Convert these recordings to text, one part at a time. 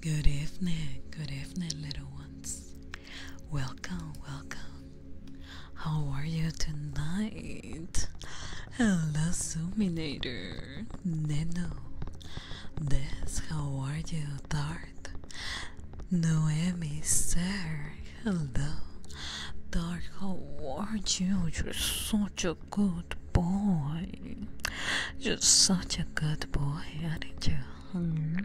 Good evening, good evening, little ones. Welcome, welcome. How are you tonight? Hello, Suminator. Neno. This, how are you, Dart? Noemi, sir. Hello. Dart, how are you? You're such a good boy. You're such a good boy, aren't you? Hmm.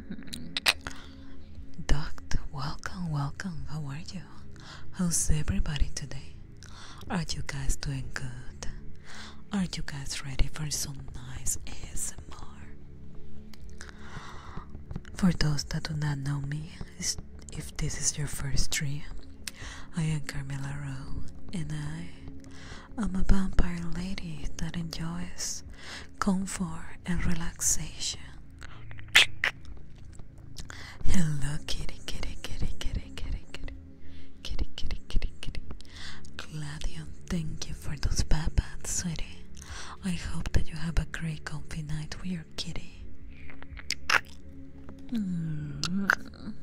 Doctor, welcome, welcome. How are you? How's everybody today? Are you guys doing good? Are you guys ready for some nice ASMR? For those that do not know me, if this is your first dream, I am Carmela Rowe and I I'm a vampire lady that enjoys comfort and relaxation. Hello, kitty, kitty, kitty, kitty, kitty, kitty, kitty, kitty, kitty, kitty. Gladion, thank you for those papats, sweetie. I hope that you have a great comfy night with your kitty. Mm -hmm.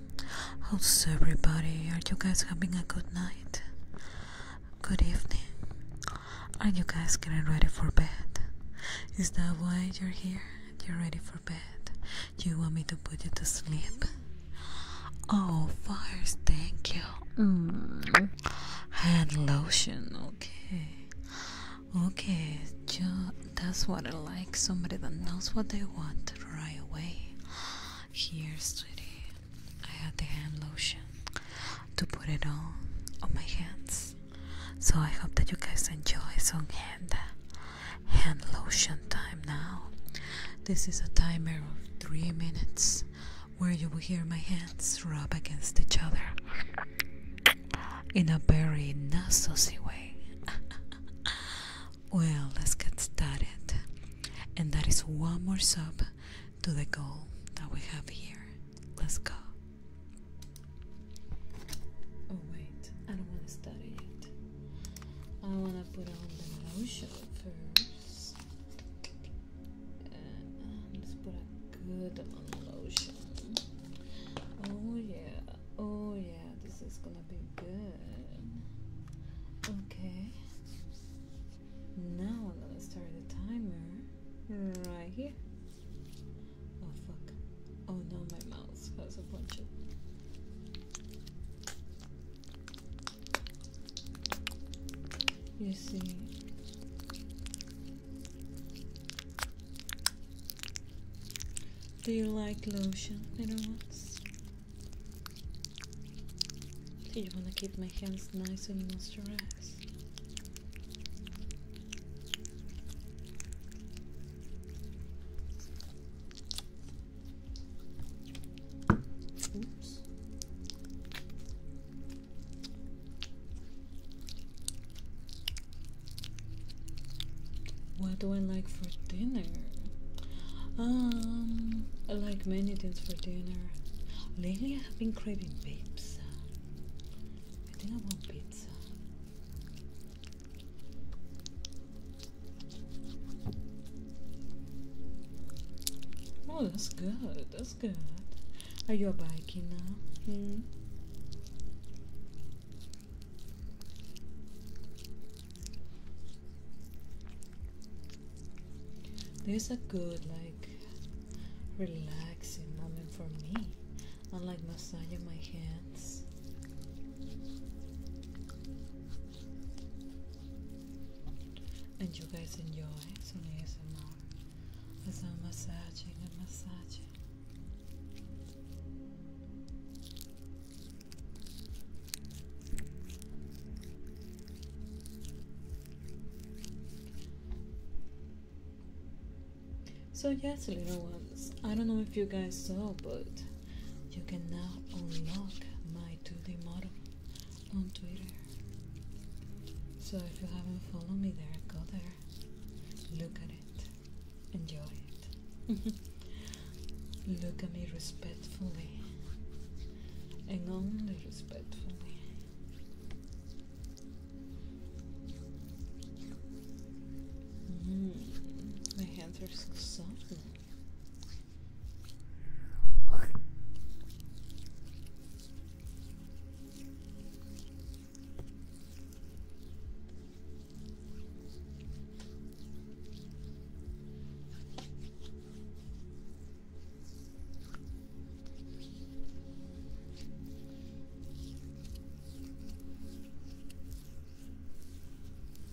How's everybody? Are you guys having a good night? Good evening. Are you guys getting ready for bed? Is that why you're here? You're ready for bed. You want me to put you to sleep? Oh, fires, thank you. Mm. Hand lotion, okay. Okay, that's what I like. Somebody that knows what they want right away. Here's sweetie, I had the hand lotion to put it on on my hands. So I hope that you guys enjoy some hand hand lotion time now. This is a timer of three minutes where you will hear my hands rub against each other in a very nasty way. well, let's get started. And that is one more sub to the goal that we have here. Let's go. Oh, wait, I don't want to study it. I want to put on the lotion first. Uh, let's put a good amount of lotion. Oh, yeah, oh, yeah, this is gonna be good. Okay. Now I'm gonna start the timer right here. Oh fuck. Oh no, my mouse has a bunch of. You see. Do you like lotion, little ones? So you want to keep my hands nice and moisturized. What do I like for dinner? Um, I like many things for dinner. Lately, I have been craving pizza. I think I want pizza. Oh, that's good. That's good. Are you biking now? Hmm. There's a good like relaxing moment for me. I like massaging my hands. And you guys enjoy some ASMR as I'm massaging and massaging. So, yes, little ones, I don't know if you guys saw, but you can now unlock my 2D model on Twitter. So, if you haven't followed me there, go there, look at it, enjoy it, look at me respectfully, and only respectfully. Mm, my hands are so soft.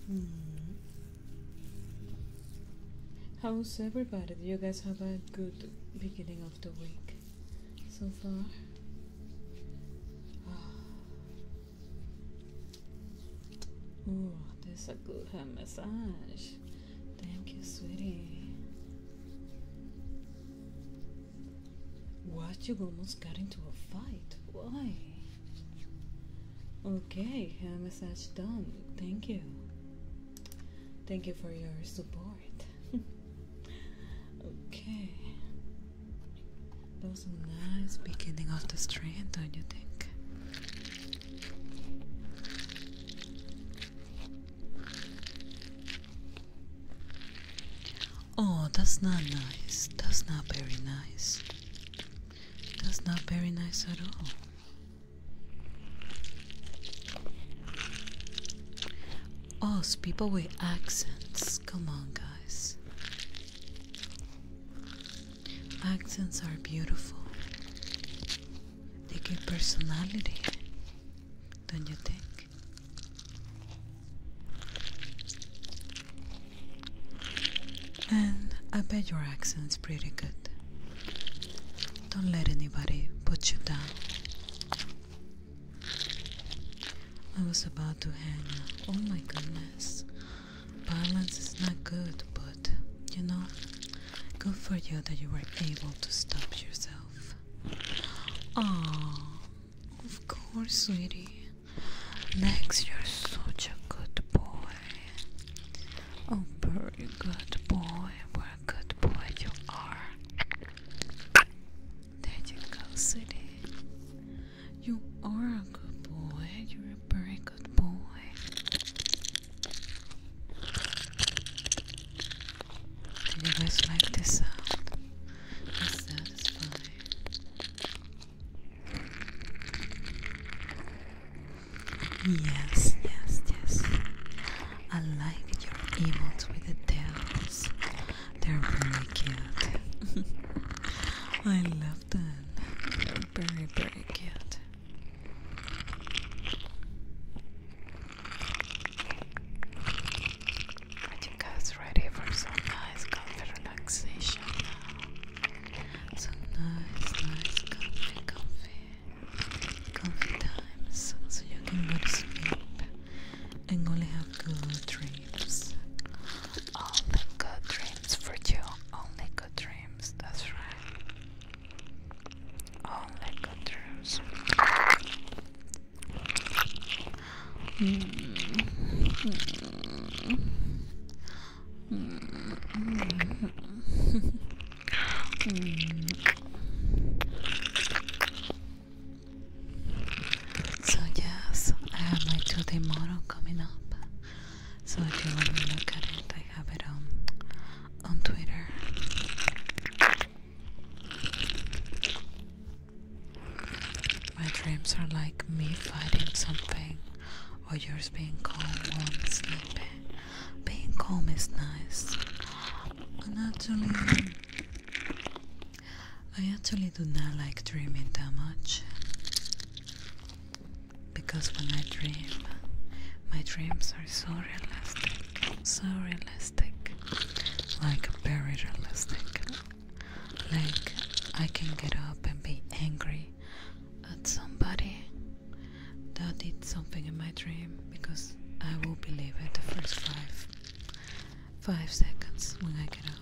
Hmm. How's everybody? Do you guys have a good beginning of the week so far? Ah. Oh, this is a good hand massage. Thank you, sweetie. What? You almost got into a fight. Why? Okay, hair uh, massage done. Thank you. Thank you for your support. okay. That was a nice beginning of the strand, don't you think? Oh, that's not nice. That's not very nice. That's not very nice at all. Oh, it's people with accents. Come on, guys. Accents are beautiful. They give personality don't you think? And I bet your accent's pretty good. Don't let anybody put you down. I was about to hang up. Oh my goodness. Violence is not good, but you know, good for you that you were able to stop yourself love. Oh, of course, sweetie. Max, you're such a good boy. Oh, very good boy. What a good boy you are. There you go, sweetie. You are a good boy. You're a very good boy. Do you guys like this sound? Yes, yes, yes. I like your emotes with the tails. They're very cute. I love them. They're very, very cute. I think I was ready for some nice comfy relaxation Some nice, nice, comfy, comfy, comfy times so you can go to sleep and only have good dreams. Only good dreams for you. Only good dreams, that's right. Oh, so, yes, I have my two d model coming up. So, if you want to look at it, I have it on on Twitter. My dreams are like me fighting something or yours being calm while sleeping. Being calm is nice. And actually I actually do not like dreaming that much because when I dream my dreams are so realistic, so realistic like very realistic. Like I can get up and be angry at somebody that did something in my dream because I will believe it the first five five seconds when I get up.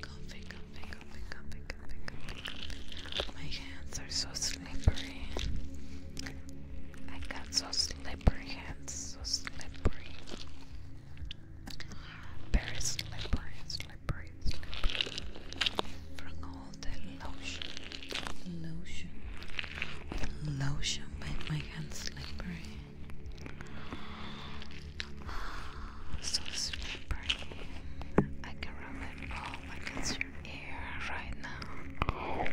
Comfy, comfy, comfy, comfy, comfy, My hands are so slippery. I got so slippery hands, so slippery. Very slippery, slippery, slippery. From all the lotion, lotion, lotion made my hands slippery. So slippery. I can rub it all against your ear right now.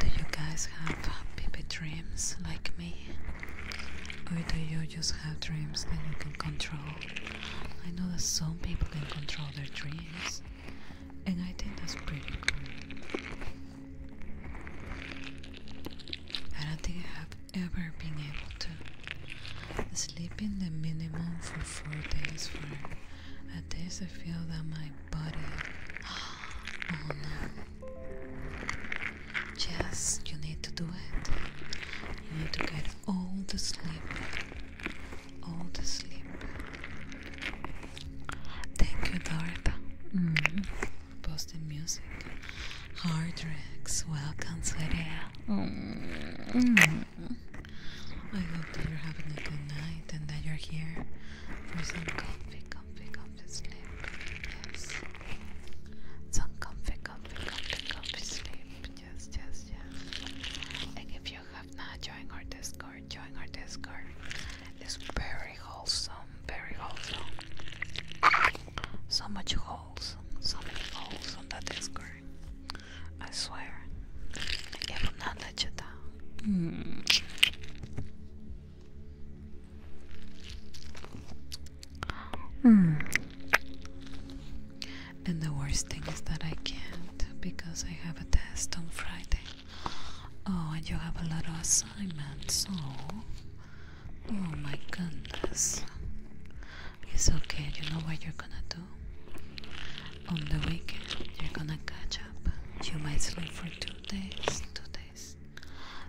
do you guys have happy dreams like me? Or do you just have dreams that you can control? I know that some people can control their dreams, and I think that's pretty cool. I don't think I have ever been able to sleep in the minimum for four days for at days I feel that my body oh no Just you need to do it you need to get all the sleep all to sleep. Thank you, Dorp. Mm mm-hmm. music. Hard Rex, welcome, sweetie. Mm-hmm. I hope that you're having a good night and that you're here for some comfy, comfy, comfy sleep. Yes. Some comfy, comfy, comfy, comfy sleep. Yes, yes, yes. And if you have not joined our Discord, join our Discord. It's very wholesome, very wholesome. So much holes, so many holes on that Discord. I swear, it will not let you down. Mm. Mm. And the worst thing is that I can't because I have a test on Friday. Oh, and you have a lot of assignments. Oh, oh my goodness. It's okay. You know what you're gonna do? On the weekend, you're gonna catch up. You might sleep for two days, two days,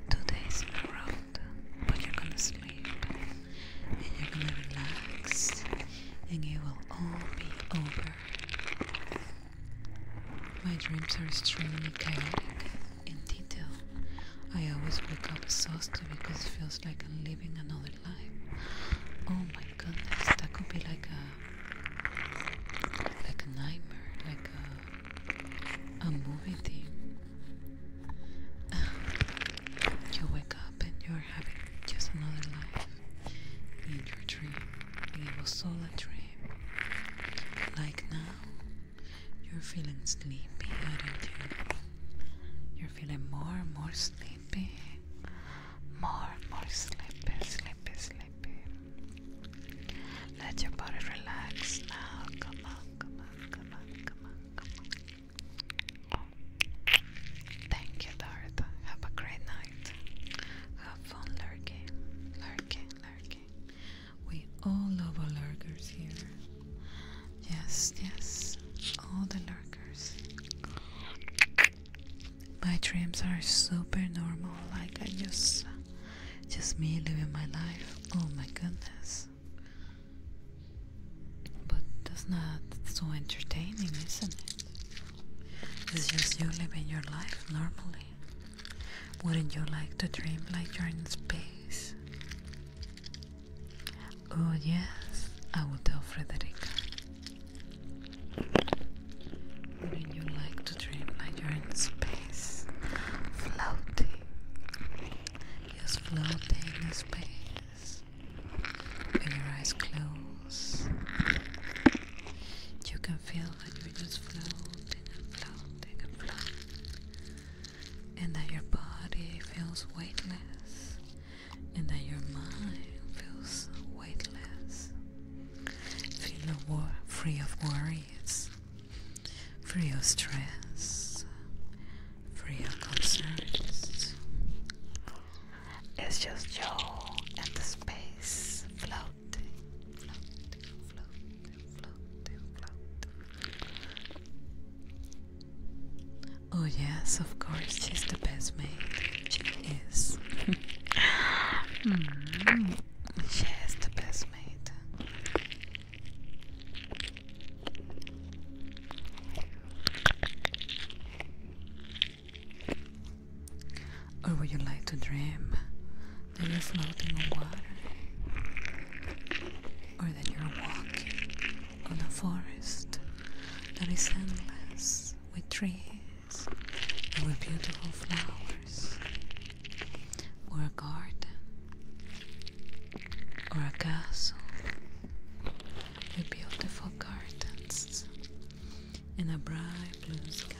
two days in but you're gonna sleep and you're gonna relax, and it will all be over my dreams are extremely chaotic. In detail, I always wake up exhausted because it feels like I'm living another life. Oh my goodness, that could be like a like a nightmare, like a a movie theme. you wake up up and you're having just another life in your dream. It was all a dream. Like now, you're feeling sleepy, aren't you? You're feeling more and more sleepy. More and more sleepy, sleepy, sleepy. Let your body relax now. come on, come on, come on, come on. Thank you, Dart. Have a great night. Have fun lurking, lurking, lurking. We all love our lurkers here. Yes, yes, all the lurkers. My dreams are super normal, like I just, just me living my life. Oh my goodness. But that's not so entertaining, isn't it? It's just you living your life normally. Wouldn't you like to dream like you're in space? Oh, yes, I will tell Frederica. Wouldn't you like to dream like you're in space? Floating. Just floating in space. When your eyes close, you can feel that you're just floating and floating and floating, and that your body feels weightless, and that your mind feels weightless. Feel war free of worries, free of stress, free of concerns. It's just you and the space floating, floating, floating, floating, floating. Oh yes, of course, she's the best mate. She is. mm. She is the best mate. Or would you like to dream that you're floating on water? Or that you're walking on a forest that is endless with trees and with beautiful flowers? Or a garden? Or a castle? With beautiful gardens in a bright blue sky.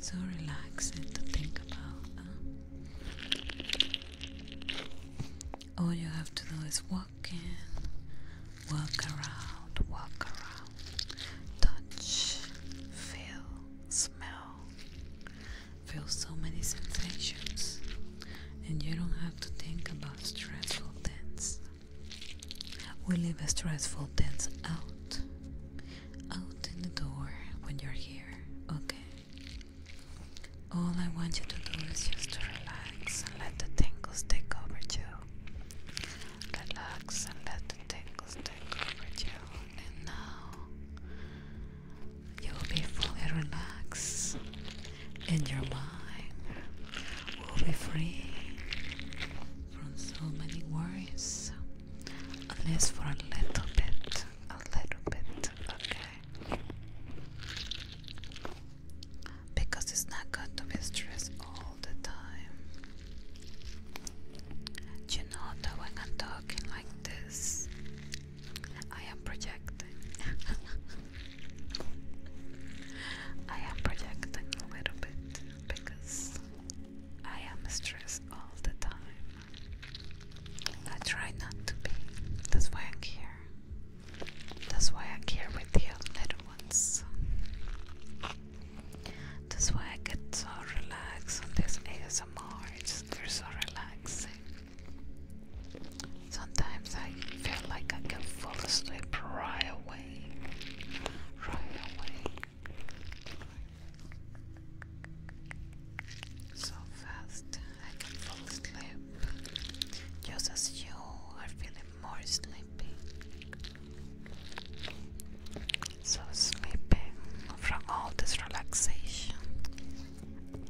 So relaxing to think about. All you have to do is walk in, walk around, walk around, touch, feel, smell, feel so many sensations, and you don't have to think about stressful things. We leave a stressful things out. Out in the door when you're here, okay? All I want you to do is just to relax and let the tingles take over you. Relax and let the tingles take over you. And now you'll be fully relaxed and your mind will be free from so many worries, unless for a little bit, a little bit, okay? Because it's not good to be stressed all the time. You know that when I'm talking like this, I am projecting. I am projecting a little bit because I am stressed all the time. I try not to be. That's why I'm here. That's why I'm here with you, little ones. That's why I get so relaxed on this ASMR. It's, just so relaxing. Sometimes I feel like I can fall asleep right away. Right away. So fast I can fall asleep. Just as you are feeling more sleepy. So sleeping from all this relaxation.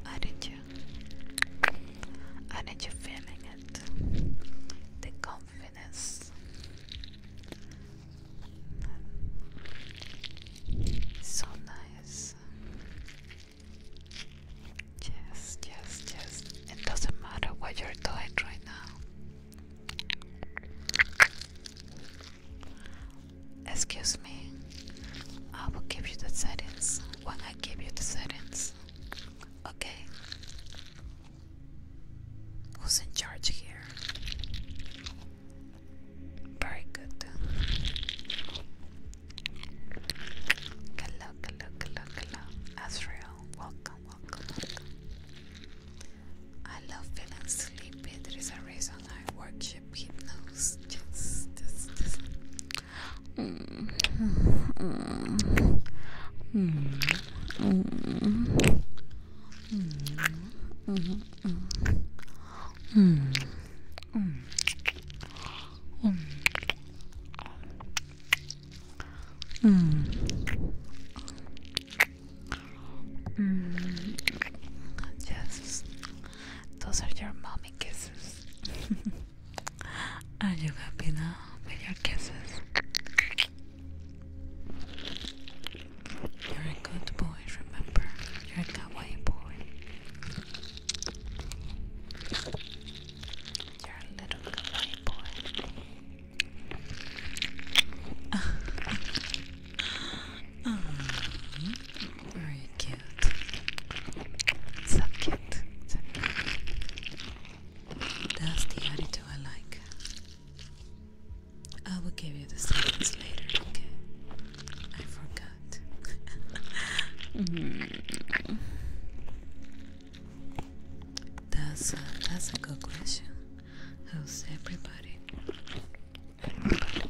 I need you. I need you feeling it the confidence. So nice. Yes, yes, yes. It doesn't matter what you're doing right now. Excuse me. I will give you the settings when I give you the settings. Okay. Who's in charge here? Very good. Hello, hello, hello, hello. Azrael, welcome, welcome, I love feeling sleepy. There is a reason I worship hypnosis. Yes, yes, yes. Just those are your mommy kisses. Are you happy now with your kisses? You're a good boy, remember? You're a kawaii boy. You're a little kawaii boy. Mm, very cute. So cute. That's the attitude I like. I will give you the settings later, okay? I forgot. That's a, that's a good question. How's everybody, everybody.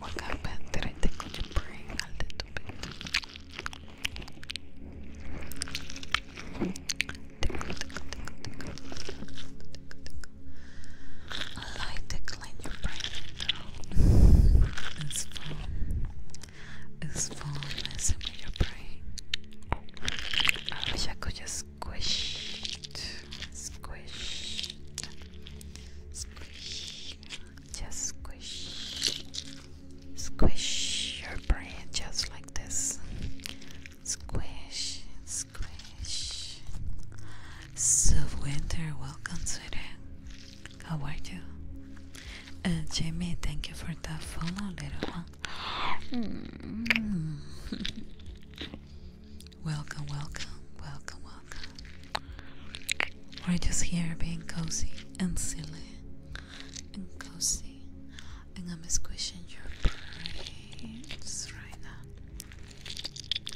Welcome back to the Coach Brain a little bit. I like to clean your brain now. It's fun. It's fun messing your brain. I wish I could just Squish, squish, squish, just squish, squish your brain just like this. Squish, squish. So winter, welcome, sweetie. How are you? Uh, Jamie, thank you for that follow, little one. Hmm. welcome, welcome, welcome, welcome. We're just here being cozy and silly and cozy, and I'm squishing your brains right now.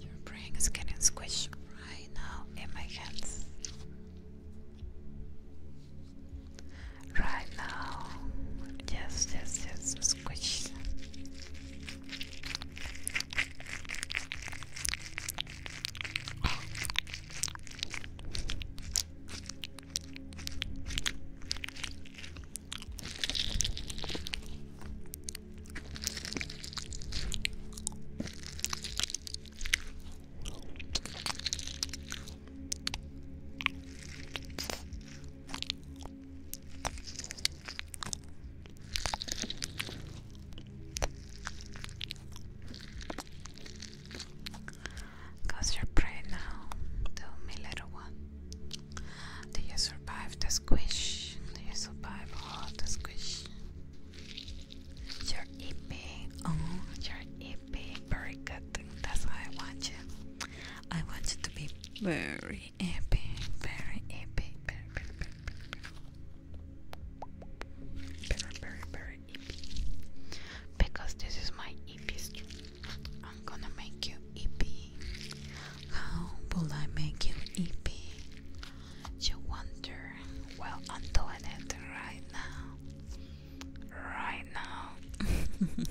Your brain getting squished right now in my hands. Right now, yes, yes, yes, squish. Cause your brain now, tell me, little one. Do you survive the squish? Do you survive all the squish? You're epic. Oh, you're epic. Very good. That's what I want you. I want you to be very epic. Very epic. Very, very, very, very, very, very, very epic. Because this is my EP stream. I'm gonna make you EP. How will I make you EP? you wonder, well, I'm doing it right now. Right now.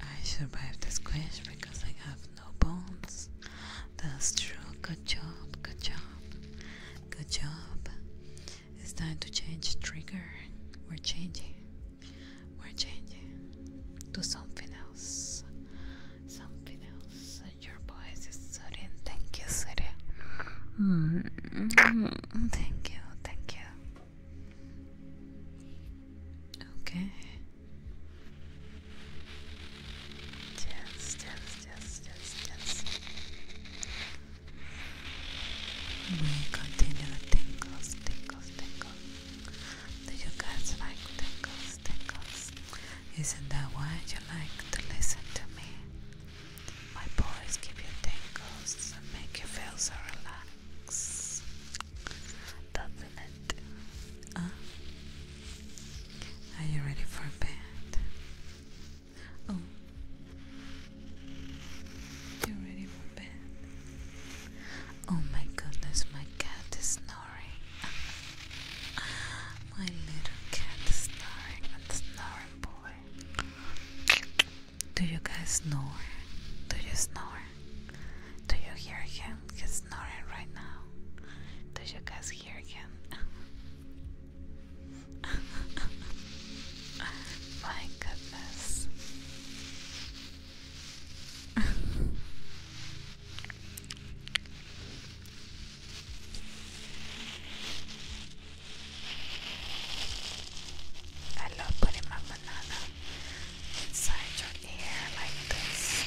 I survived the squish because I have no bones. That's true. Good job. Good job. Good job. It's time to change trigger. We're changing. We're changing to something else something else. Your voice is soothing. Thank you, Siri. Mm-hmm. Thank you, thank you. Okay. Yes, yes, yes, yes, yes. We continue the tingles, tingles, tingles. Do you guys like tingles, tingles? Isn't that why you like to listen to me? My boys give you tingles and make you feel so relaxed. Doesn't it? Are you ready for bed? Oh, you ready for bed. Oh my goodness, my cat is not My little cat is snoring and snoring boy. Do you guys snore? Do you snore? Do you hear him? snoring right now. Do you guys hear him? My goodness. I love putting my banana inside your ear like this.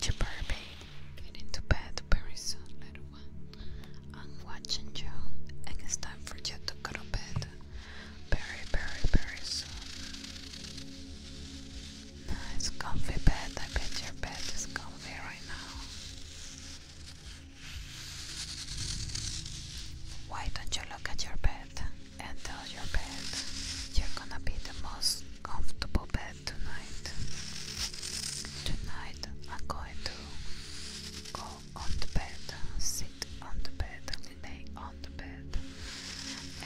Jabarbe getting to bed very soon, little one. I'm watching you, it's time for you to go to bed very, very, very soon. Nice comfy bed. I bet your bed is comfy right now. Why don't you look at your bed? and tell your bed you're gonna be the most comfortable bed tonight. Tonight I'm going to go on the bed, sit on the bed, lay on the bed,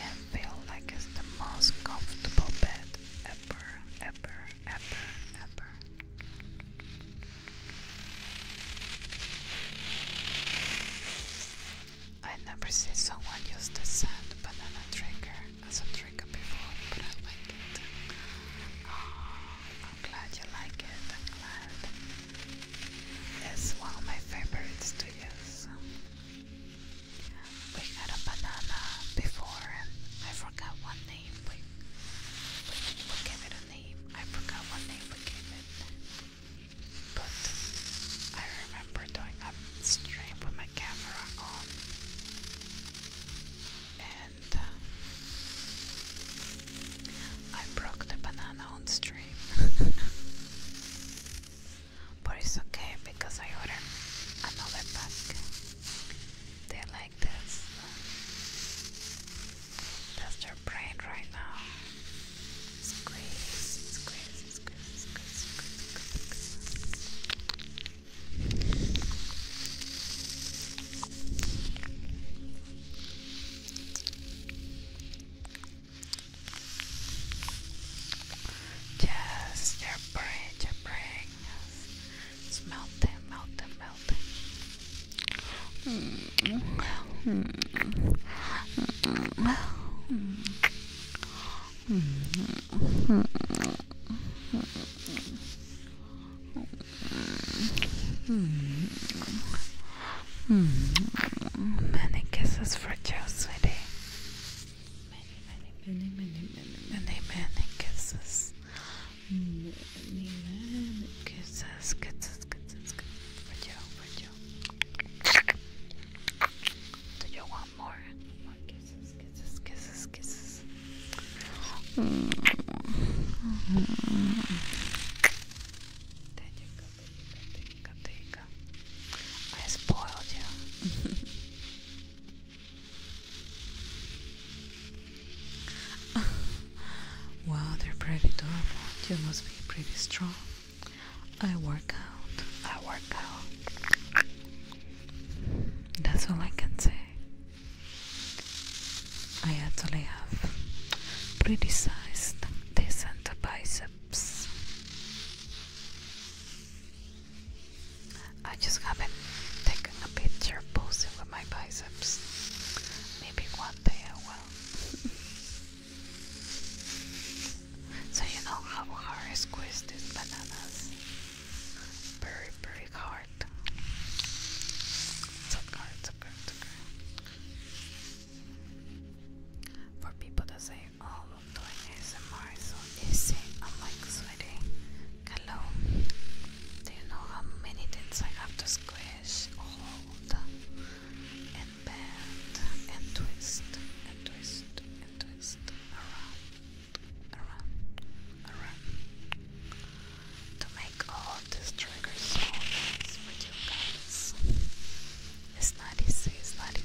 and feel like it's the most comfortable bed ever, ever, ever, ever. I never see someone use the sand banana trigger as a trigger before, but I like it. Oh, I'm glad you like it. It's one of my favorites to use. We had a banana before, and I forgot one name. We, we, gave it a name. I forgot what name we gave it. But I remember doing a up stream with my camera on and uh, I broke the banana on stream but it's okay because I ordered another pack they like this that's their brain right now squeeze, squeeze, Yes, they're praying, they're It's melting, melting, melting. Many kisses for Joe, sweetie. Many, many, many, many, many, many, many kisses. Many, kisses, kisses, kisses, kisses for Joe, for Joe. Do you want more, more kisses, kisses, kisses, kisses. I spoiled you. wow, they're pretty You must be pretty strong. I work out. I work out. That's all I can say. I actually have pretty sized, decent biceps. I just haven't taken a picture posing with my biceps. Maybe one day I will. So you know how hard I squeeze these bananas. Very, very hard. Sucker, sucker, sucker. For people to say, oh, I'm doing ASMR is so easy, I'm like, sweetie, hello. Do you know how many things I have to squish, hold, and bend, and twist, and twist, and twist around? around, around to make all these triggers so with you guys. It's not easy, it's not easy.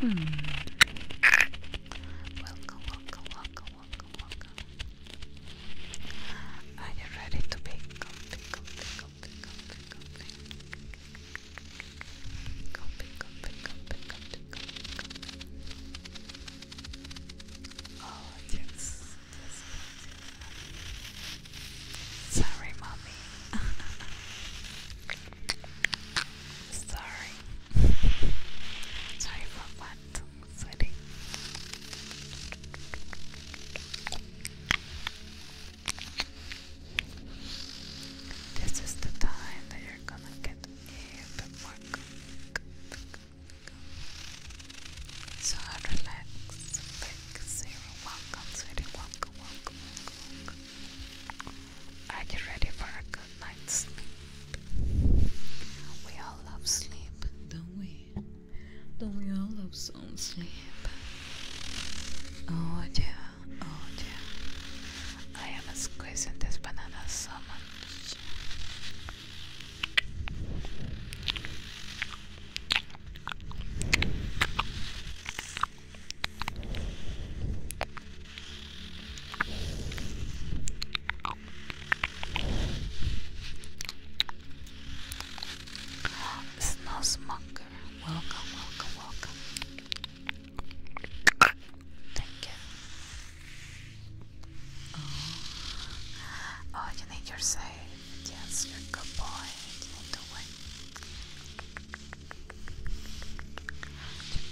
Hmm. Welcome, welcome, welcome, welcome, welcome. Are you ready to be comfy, comfy, comfy, comfy, comfy? Comfy, comfy, comfy, comfy, comfy, comfy. Oh, yes. yes, yes, yes. Sorry, mommy. Sorry. Sorry for that, sweetie. This is the time that you're gonna get a bit more So relax, big zero. Welcome, sweetie. welcome. welcome. I get ready for a good night's sleep? We all love sleep, don't we? Don't we all love some sleep? Oh dear, oh, I am squeezing this banana so much. Snowsmonger, welcome, welcome, welcome. Thank you. Oh, oh you need your save. Yes, you're a good boy. You need you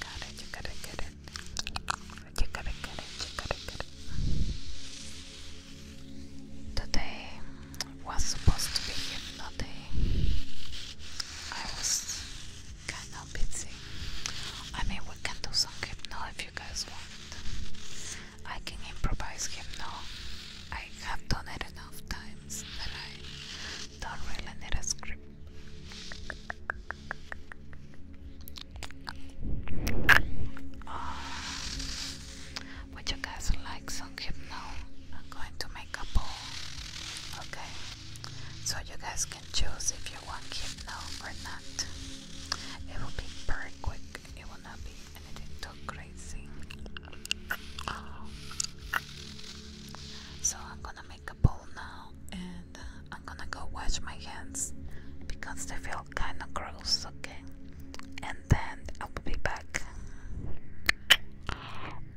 gotta, you gotta Today was supposed to be hypnotic. I was kind of busy. I mean, we can do some hypno if you guys want. I can improvise now. I have done it enough times that I don't really need a script. Oh. you guys like some hypno? I'm going to make a poll. Okay. So you guys can choose if you want hypno or not. It will be very quick. It will not be anything too crazy. So I'm gonna make a bowl now and uh, I'm gonna go wash my hands because they feel kinda gross, okay? And then I'll be back.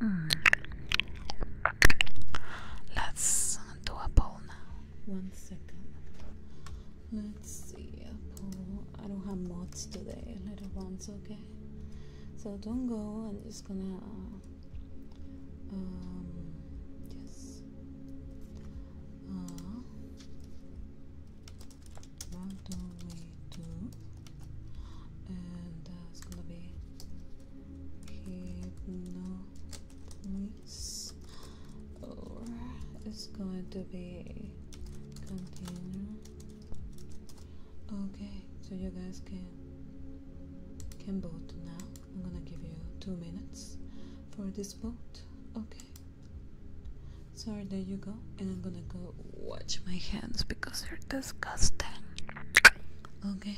Mm. Let's do a poll now. One second. Let's see a poll. I don't have mods today, little ones, okay? So don't go. I'm just gonna uh, um, yes. Uh, what And that's gonna be hypnopolis. Or it's going to be continue. Okay, so you guys can can vote now. I'm gonna give you two minutes for this boat. Okay. Sorry, there you go. And I'm gonna go watch my hands because they're disgusting. Okay.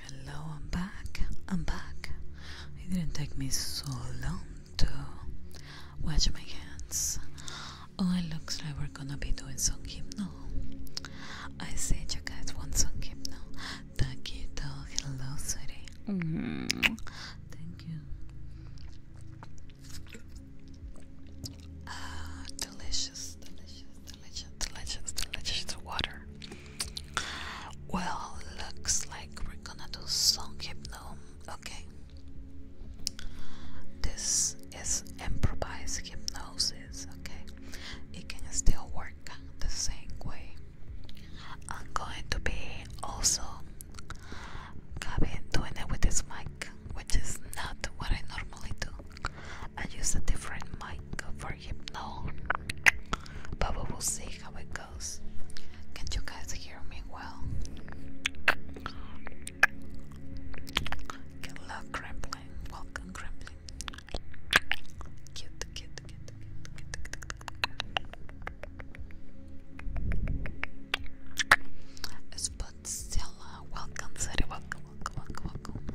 Hello, I'm back. I'm back. It didn't take me so long to wash my hands. Oh, it looks like we're gonna be doing some now. I said you guys want some hypno. Taquito, hello, sweetie. Mm-hmm. Thank you. Uh, delicious, delicious, delicious, delicious, delicious water. Well, looks like we're gonna do song hypno. Okay. This is improvised hypnosis. Okay, it can still work the same way. I'm going to be also doing it with this mic which is not what I normally do. I use a different mic for hypno, but we will see how it goes. Can you guys hear me well? Good Kremlin. Welcome, Kremlin. Cute, cute, Stella, welcome, welcome, welcome, welcome,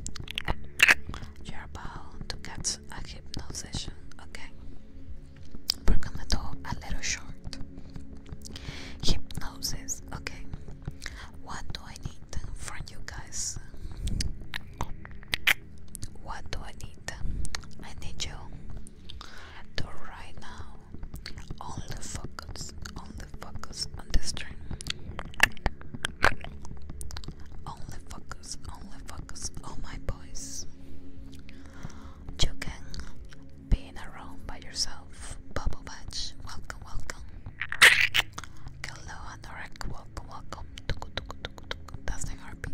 You're about to get a hypnosis, okay? We're do a little short hypnosis, okay? What do I need from you guys? What do I need? I need you to right now only focus, only focus on this string. Only focus, only focus on my boys. You can be around by yourself. Bubble welcome, welcome. Hello, Anorak, welcome, welcome. That's the heartbeat.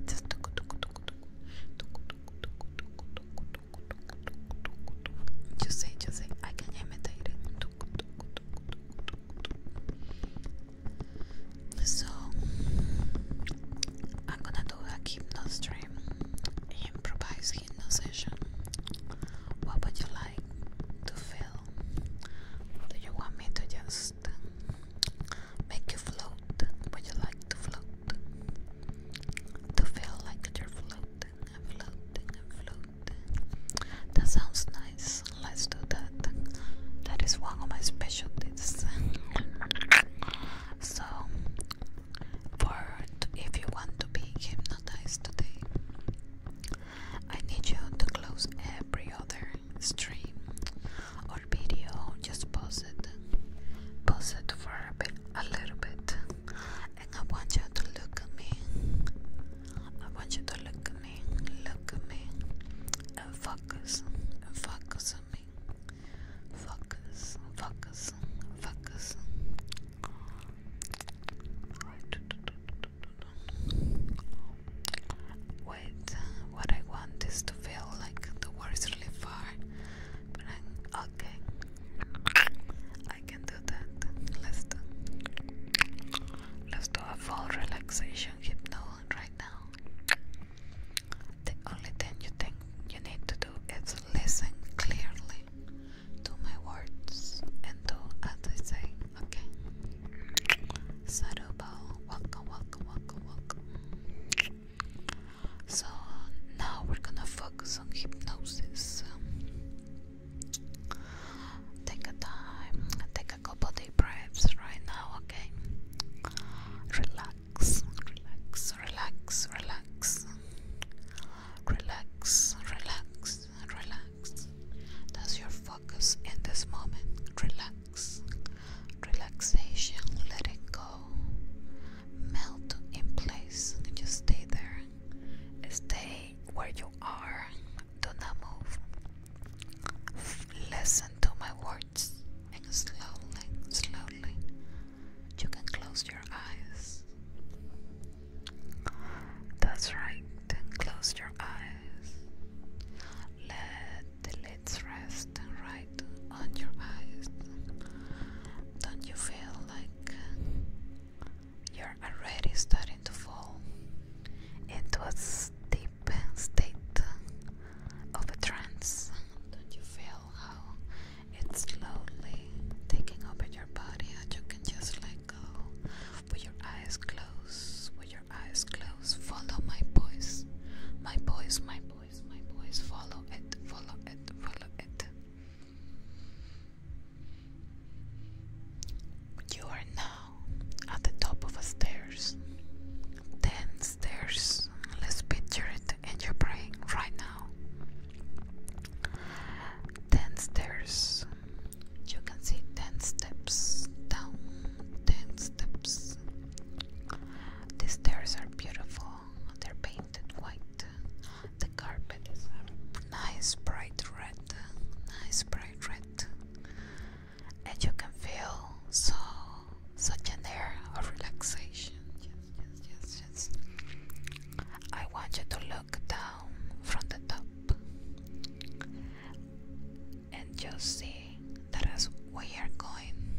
Just say, just say, ay que ya So I'm gonna do a hypno stream, improvise hypno session. What would you like to feel? Do you want me to just make you float? Would you like to float? To feel like you're float? That sounds nice. Let's do that. That is one of my specialties. so, for if you want to be hypnotized today, I need you to close every other stream or video. Just pause it, pause it for a bit, a little bit, and I want you to look at me. I want you to look at me, look at me, and focus, and focus on me. Focus, focus, focus. Wait, what I want is to feel like the words really far, but I'm okay. I can do that. Let's do let's do a full relaxation hypnosis right now. The only thing you think you need to do is listen clearly to my words and do as I say, okay? Saruba, welcome, welcome, welcome, welcome. So now we're gonna focus on hypnosis. Take a time, take a couple deep breaths right now, okay? Relax, relax, relax, relax. Relax, relax, relax. That's your focus in this moment. Relax. Relaxation, let it go. Melt in place. Just stay there. Stay where you are. Do not move. Listen to my words, and slowly, slowly, you can close your eyes. That's right, then close your eyes. Let the lids rest right on your eyes. Don't you feel like you're already starting to fall into a deep state of a trance. Don't you feel how it's slowly taking over your body and you can just let go with your eyes closed, with your eyes closed, follow my voice, my voice, my voice, my voice, follow it, follow it, follow it. You are now at the top of a stairs. Ten stairs. Let's picture it in your brain right now. Ten stairs. You can see ten steps down. Ten steps. These stairs are beautiful. They're painted white. The carpet is a nice bright red, nice bright red, and you can feel so such an air of relaxation. Yes, yes, yes, yes. I want you to look down from the top and you'll see that as we are going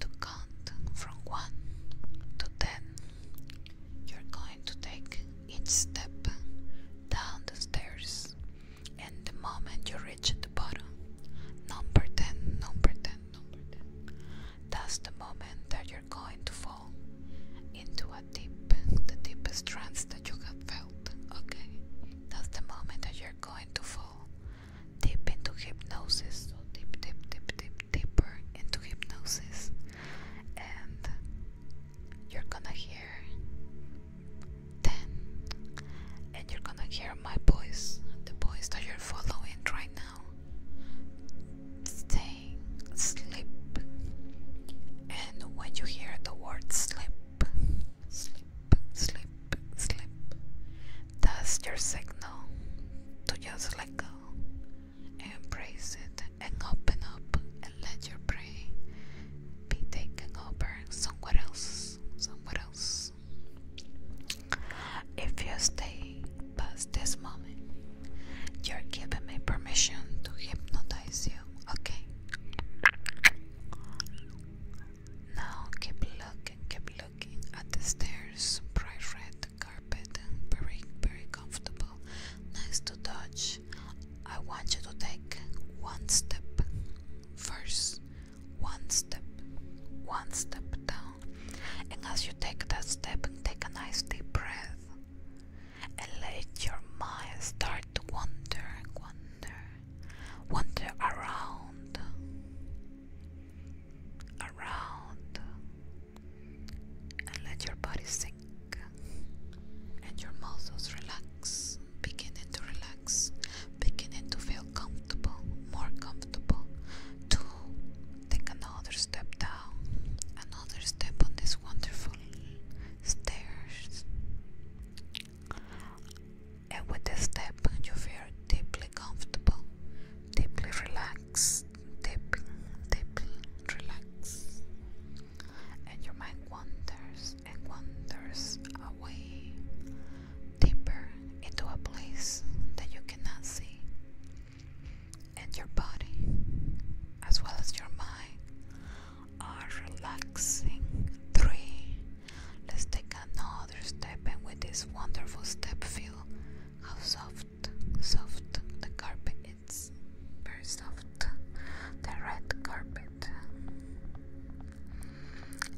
to count from 1 to 10 you're going to take each step down the stairs, and the moment you reach the bottom, number 10, number 10, number 10, that's the moment that you're going to fall into a deep, the deepest trance that you have felt, okay? That's the moment that you're going to fall deep into hypnosis, so deep, deep, deep, deep, deeper into hypnosis, and you're gonna hear then and you're gonna hear my voice the voice that you're following right now staying slip, and when you hear the word "slip," slip, slip, slip, that's your signal to just let go Embrace it and open up and let your prey be taken over somewhere else. Somewhere else. If you stay past this moment, you're giving me permission to hypnotize you, okay? Now keep looking, keep looking at the stairs, bright red carpet, very, very comfortable, nice to touch, I want you to take one step first, one step, one step down, and as you take that step, take a nice deep breath and let your mind start to wander, wander, wander around, around, and let your body sink and your muscles relax, beginning to relax, beginning to feel comfortable, more comfortable. To take another step down, another step on this wonderful stairs. And with this step, you feel deeply comfortable, deeply relaxed, deep, deeply relaxed and your mind wanders and wanders away deeper into a place that you cannot see. And your body, as well as your mind, are relaxing. Three. Let's take another step, and with this wonderful step, feel how soft, soft the carpet it's very soft, the red carpet,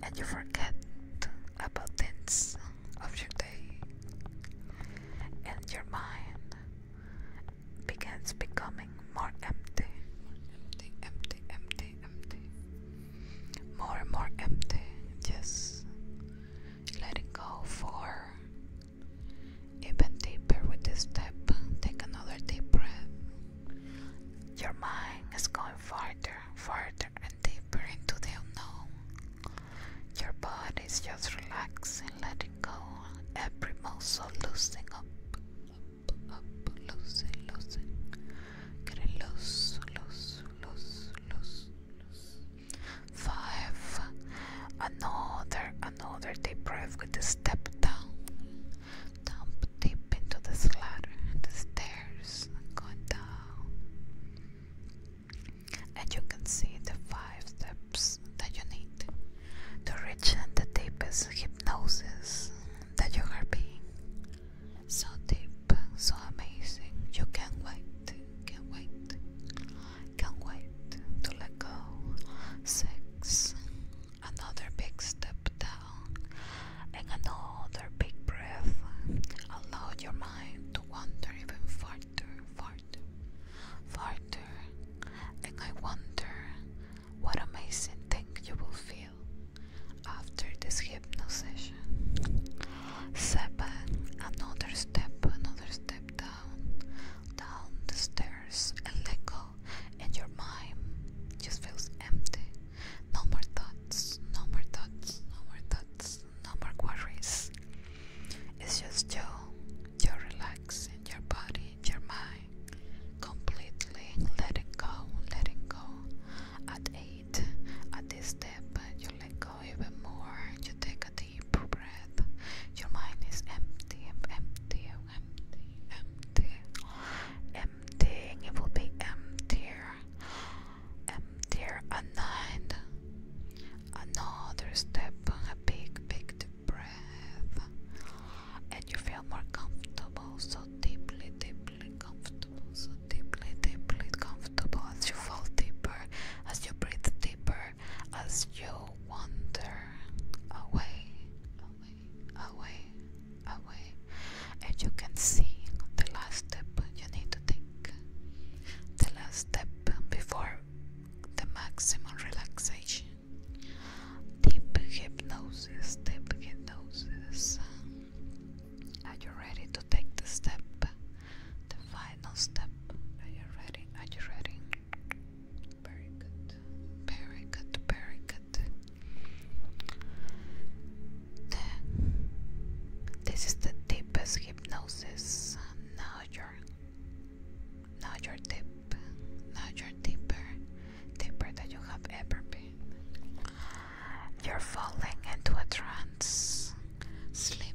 and you forget about things of your day, and your mind begins becoming more empty, empty, empty, empty, empty, more and more empty. Just letting go for even deeper with this step, take another deep breath. Your mind is going farther, farther, and deeper into the unknown. Your body is just relaxing, letting go, every muscle loosening up, up, up, loosening, loosening, getting loose, loose, loose, loose, loose. Five, Another, another deep breath with a step down. Dump deep into the ladder, the stairs, going down. And you can see the five steps that you need to reach deepest hypnosis that you are being. So deep, so amazing. You can't wait, can't wait, can't wait to let go. Six, Another big step down and another big breath. Allow your mind to wander even farther, farther, farther. And I wonder what amazing thing you will feel after this hypnosis session. Seven, another step, another step down, down the stairs, and let go and your mind just feels empty. No more thoughts, no more thoughts, no more thoughts, no more worries. It's just you, you're relaxing your body, your mind, completely letting go, letting go. At 8, at this step, you let go even more. You take a deep breath. Your mind is empty, empty, empty, empty, emptying. It will be emptier, emptier. A another step. A big, big breath, and you feel more comfortable. So deeply, deeply comfortable. So deeply, deeply comfortable as you fall deeper, as you breathe deeper, as you wander away, away, away, away. And you can see the last step you need to take. The last step before the maximum relaxation. Deep hypnosis, deep hypnosis. Are you ready to take the step? The final step. Are you ready? Are you ready? Very good. Very good. Very good. this is the deepest hypnosis. Now you're now you're deep. Now you're deeper. Deeper than you have ever been. You're falling into a trance. Sleep.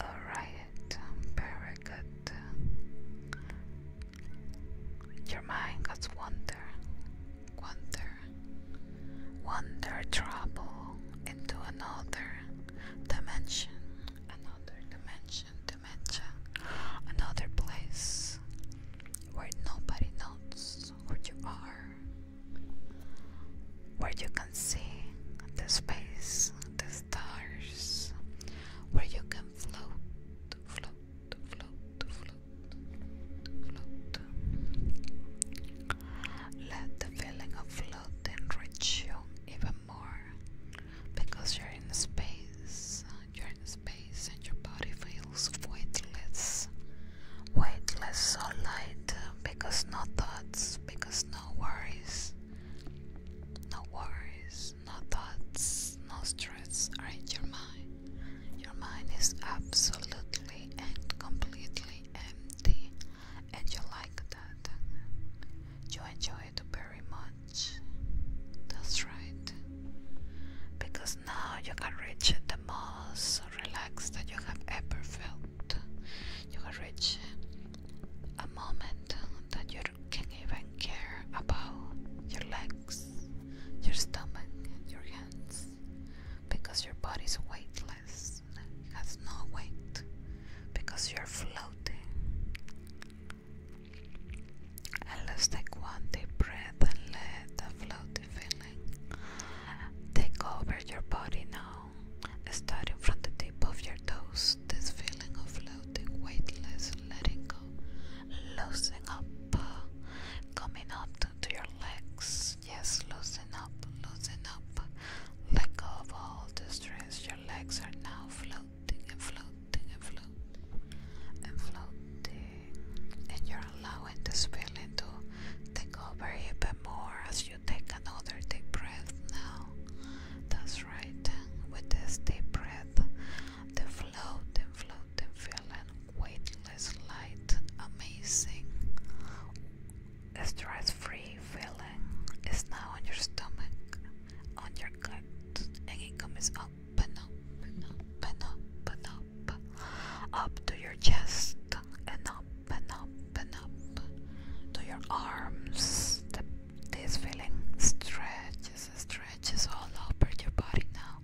Alright, um, very good. Your mind has wonder, wonder, wonder travel into another dimension, another dimension, dimension, another place where nobody knows who you are where you can see the space, the stars, where you can float, float, float, float, float. Let the feeling of floating enrich you even more because you're in space, you're in space, and your body feels weightless. Weightless so light because no thoughts because no worries, no worries, no thoughts, no stress are in your mind. Your mind is absolutely and completely empty, and you like that. You enjoy it very much. That's right. Because now you can reach the most relaxed that you have ever felt you can reach a moment that you can even care about your legs, your stomach, your hands, because your body is weightless, has no weight, because you're floating. And let's take one deep breath and let the floating feeling take over your body now starting from the tip of your toes, this feeling of floating, weightless, letting go, loosening up, coming up to your legs. Yes, loosening up, loosening up. Let go of all the stress. Your legs are now floating and floating and floating and floating, and you're allowing this feeling to take over even more as you you take another deep breath now. That's right. With this deep breath, the floating, floating feeling, weightless, light, amazing, stress-free feeling is now on your stomach, on your gut, and it comes up and up and up and up and up, up to your chest and up and up open up to your arms. The, this feeling stretches, stretches all over your body now.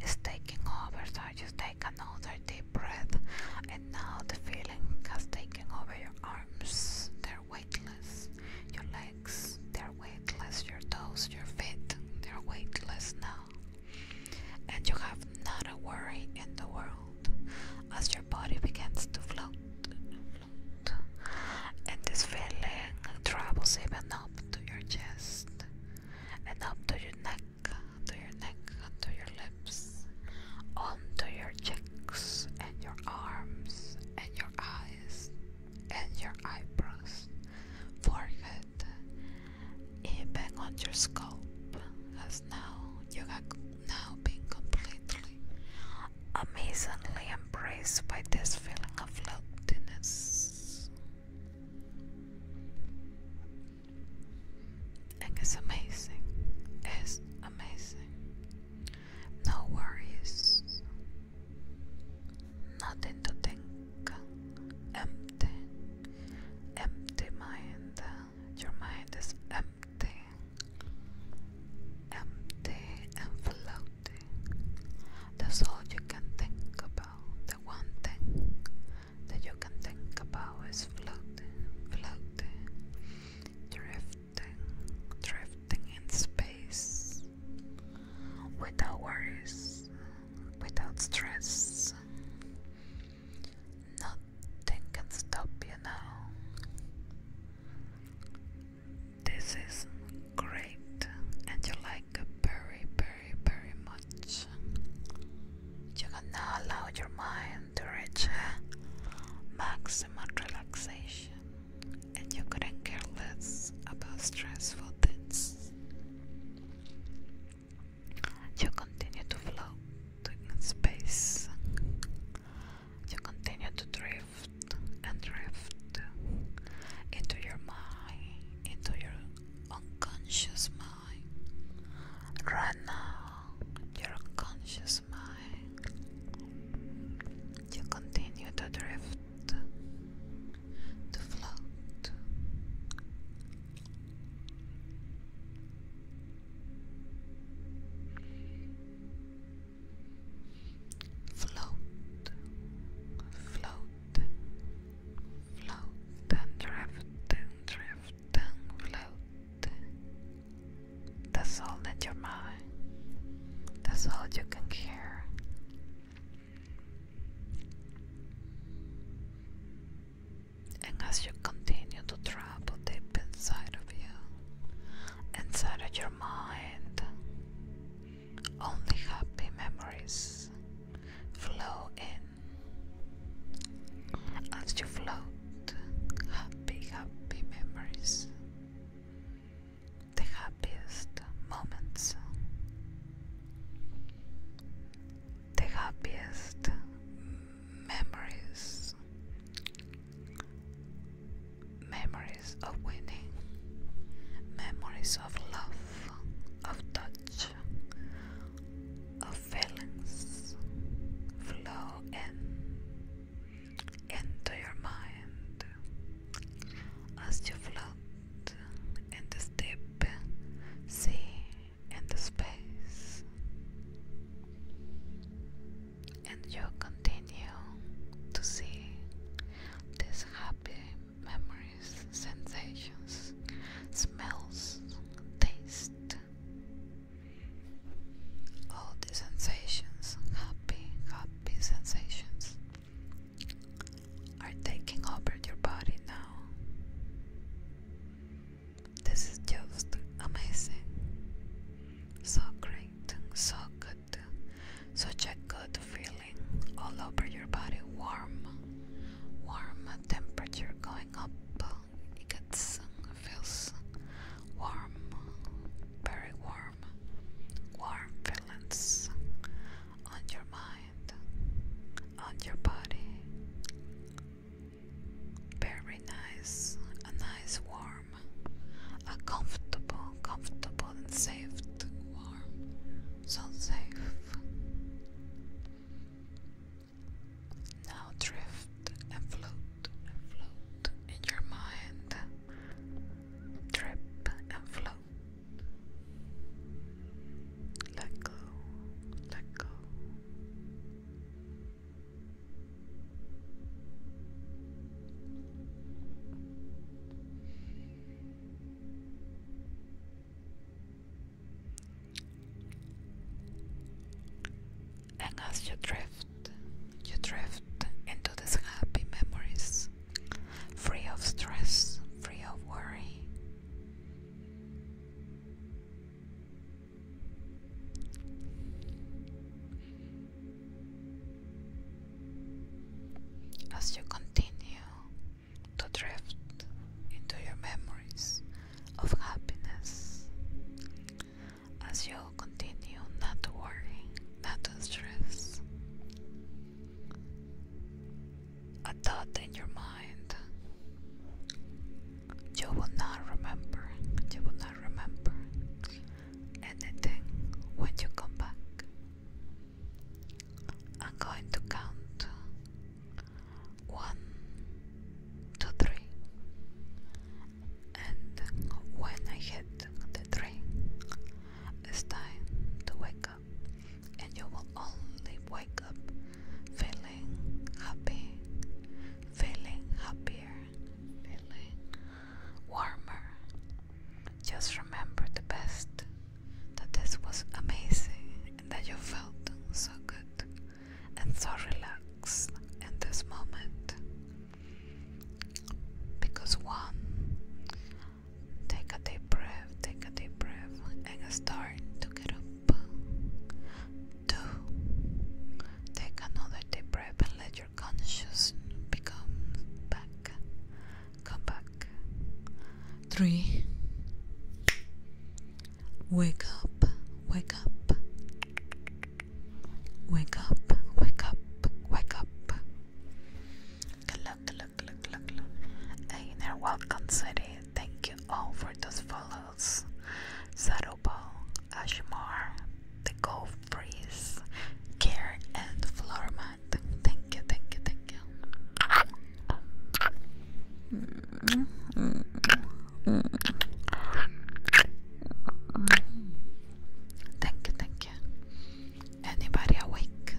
It's taking over, so you take another deep breath. And now the feeling has taken over your arms. They're weightless. Your legs, they're weightless. Your toes, your feet, they're weightless now. And you have not a worry in the world. As your your body begins to float, and this feeling travels even up to your chest and up to your neck, to your neck, to your lips, onto your cheeks and your arms and your eyes and your eyebrows, forehead, even on your scalp, as now you got now being completely, amazingly embraced by this feeling of loveliness. And it's amazing. It's amazing. No worries. Nothing to think. Empty. Empty mind. Your mind is empty empty, empty and floating. That's all you can think about. The one thing that you can think about is floating, floating, drifting, drifting in space. Without worries, without stress, nothing can stop you now. This is great, and you like it very, very, very much. You can now allow your mind to reach maximum relaxation, and you couldn't care less about stressful things. You continue to float in space, you continue to drift and drift into your mind, into your unconscious mind. Right now, your conscious mind. You continue to drift, to float. Float, float, float and drift and drift and float. That's all that you're mine. That's all you can hear. And as you continue to try deep inside of you, inside of your mind. Only happy memories flow in as you float. Happy, happy memories. The happiest moments. The happiest memories memories of winning, memories of love, of touch, of feelings flow in into your mind as you float in the deep sea in the space and you continue to see these happy memories, sensations, smells, taste. All these sensations, happy, happy sensations, are taking over your body now. This is just amazing. So great so good, such a good feeling all over your body, warm, warm temperature going up. It gets feels warm, very warm, warm feelings on your mind, on your body. Very nice, a nice warm a comfortable, comfortable and safe to warm. So safe. Now drift and float float in your mind. Drip and float. Let go, let go. And as you drift, you drift into these happy memories, free of stress, free of worry. As you continue to drift into your memories of happiness, as you continue not to worry, not to stress, a thought in your mind you will not remember, you will not remember anything when you come back. I'm going to count one, two, three, and when I hit the three, it's time to wake up, and you will only wake up feeling happy, feeling happier, really warmer. Just remember the best that this was amazing and that you felt so good and so relaxed in this moment. Because one, take a deep breath, take a deep breath, and start to get up. Two, take another deep breath and let your conscious becomes back. Come back. Three. Wake up, wake up. Wake up, wake up, wake up. Look, look, look, look, look. Hey there, welcome city. Thank you all for those follows. Sarobal, Ashmar, the cold breeze, Care and Floor Mat. Thank you, thank you, thank you. Thank you, thank you. Anybody awake?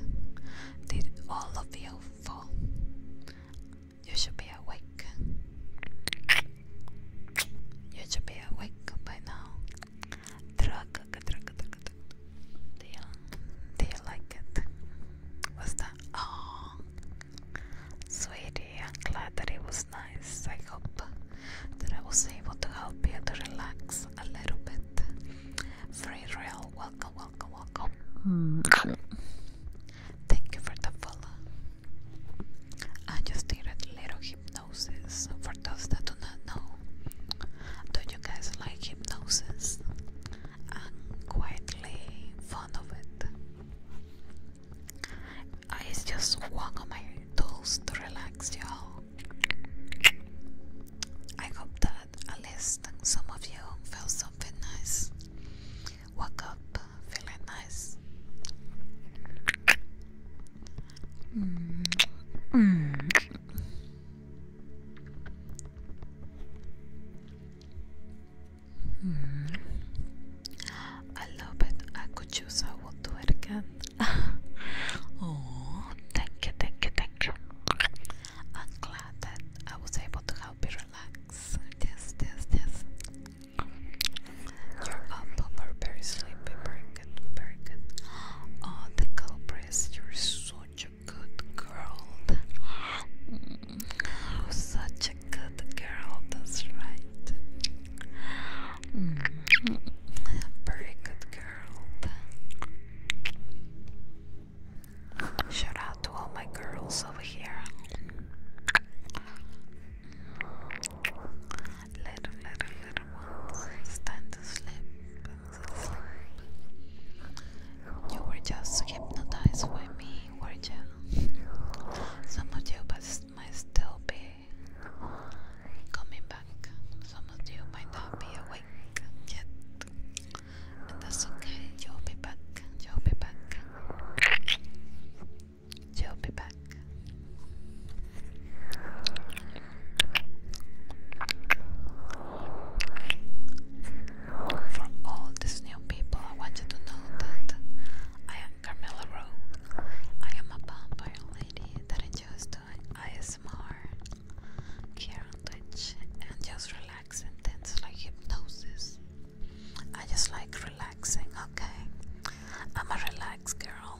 Did all of you fall? You should be awake. You should be awake by now. They, they like it. What's that? Oh, sweetie, I'm glad that it was nice. I hope that I was able to help you to relax a little bit. Free real, welcome, welcome, welcome. Thank you for the follow. I just need a little hypnosis. For those that do not know, do you guys like hypnosis? And quietly fond of it. Uh, it's just one of my tools to relax y'all. I hope that at least some of you felt something nice. Woke up feeling nice. Mm. Mm. Mm. I love it. I could choose. I will do it again. oh, thank you, thank you, thank you. I'm glad that I was able to help you relax. Yes, yes, yes. You're up, but very sleepy, very very good. Oh, the culprits, you're such a good girl. Mm, such a good girl, that's right. Mm, very good girl. Shout out to all my girls over here little, little, little ones stand to sleep, You were just hypnotized by me, were you? Some of you might still be coming back. Some of you might not be awake yet. And that's okay, you'll be back, you'll be back. You'll be back. For all these new people, I want you to know that I am Carmela Rowe. I am a vampire lady that enjoys doing ASMR, care on Twitch, and just relaxing things like hypnosis. I just like relaxing, okay? I'm a relaxed girl.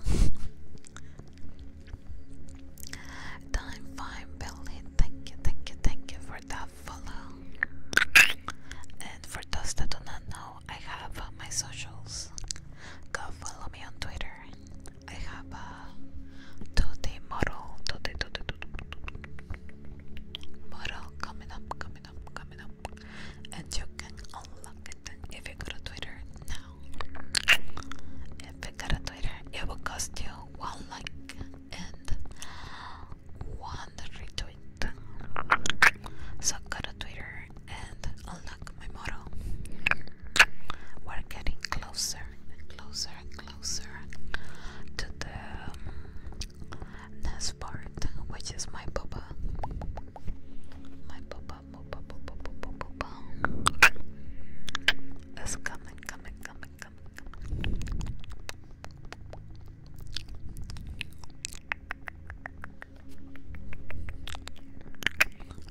Time five Billy. Thank you, thank you, thank you for that follow. And for those that do not know, I have uh, my socials. Go follow me on Twitter. I have a uh, model, 2D, 2 model coming up, coming up, coming up, and you can unlock it if you go to Twitter now if it got a Twitter, it will cost you one like and one retweet. So go to Twitter and unlock my motto. We're getting closer and closer and closer to the um, next part, which is my papa. My papa it's coming, coming, coming, coming,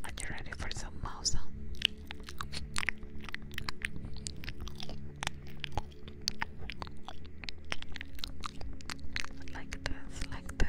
Are you ready for some mouse Like this, like this.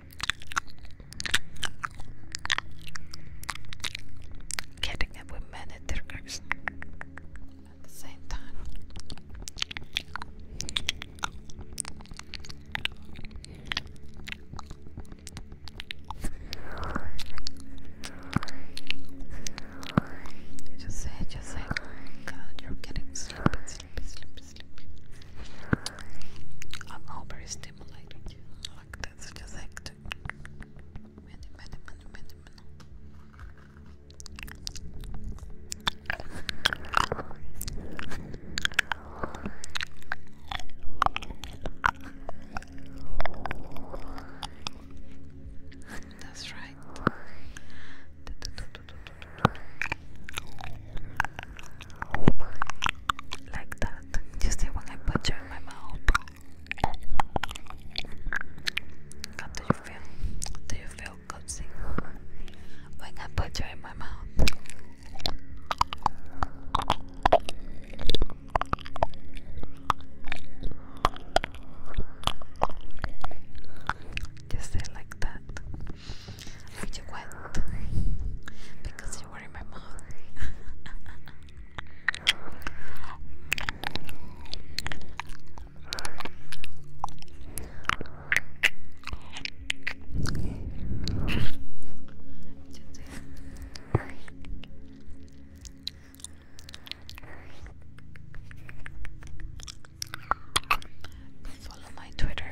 getting it with many triggers at Just say, just say, you're getting sleepy, sleepy, sleepy, I'm all very stimulated. Like that's just hectic. Many, many, many, many, many. That's right. Like that. You see when I put you in my mouth. How do you feel? Do you feel cozy? When I put you in my mouth. Just say like that. I you wet? Because you were my mouth. Follow my Twitter,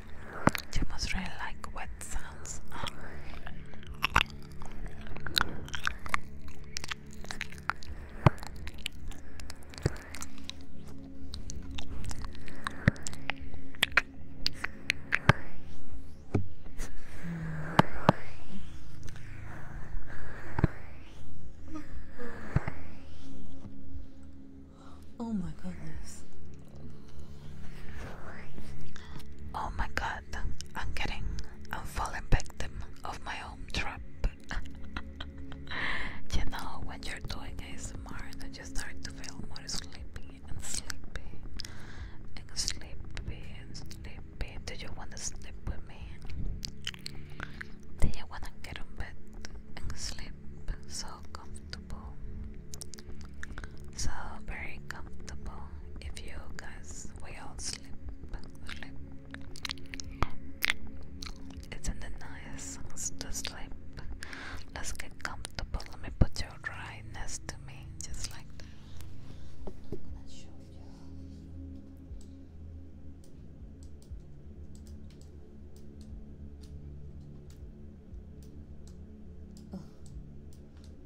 You must really like wet sounds. Oh. my goodness. Oh my god, I'm getting, I'm falling victim of my own trap. you know, when you're doing ASMR, then you start to feel more sleepy and sleepy and sleepy and sleepy. Do you want to sleep with me? Do you want to get on bed and sleep so comfortable? So very comfortable if you guys we all sleep sleep. is nice to sleep? Let's get comfortable. Let me put you right next to me, just like that.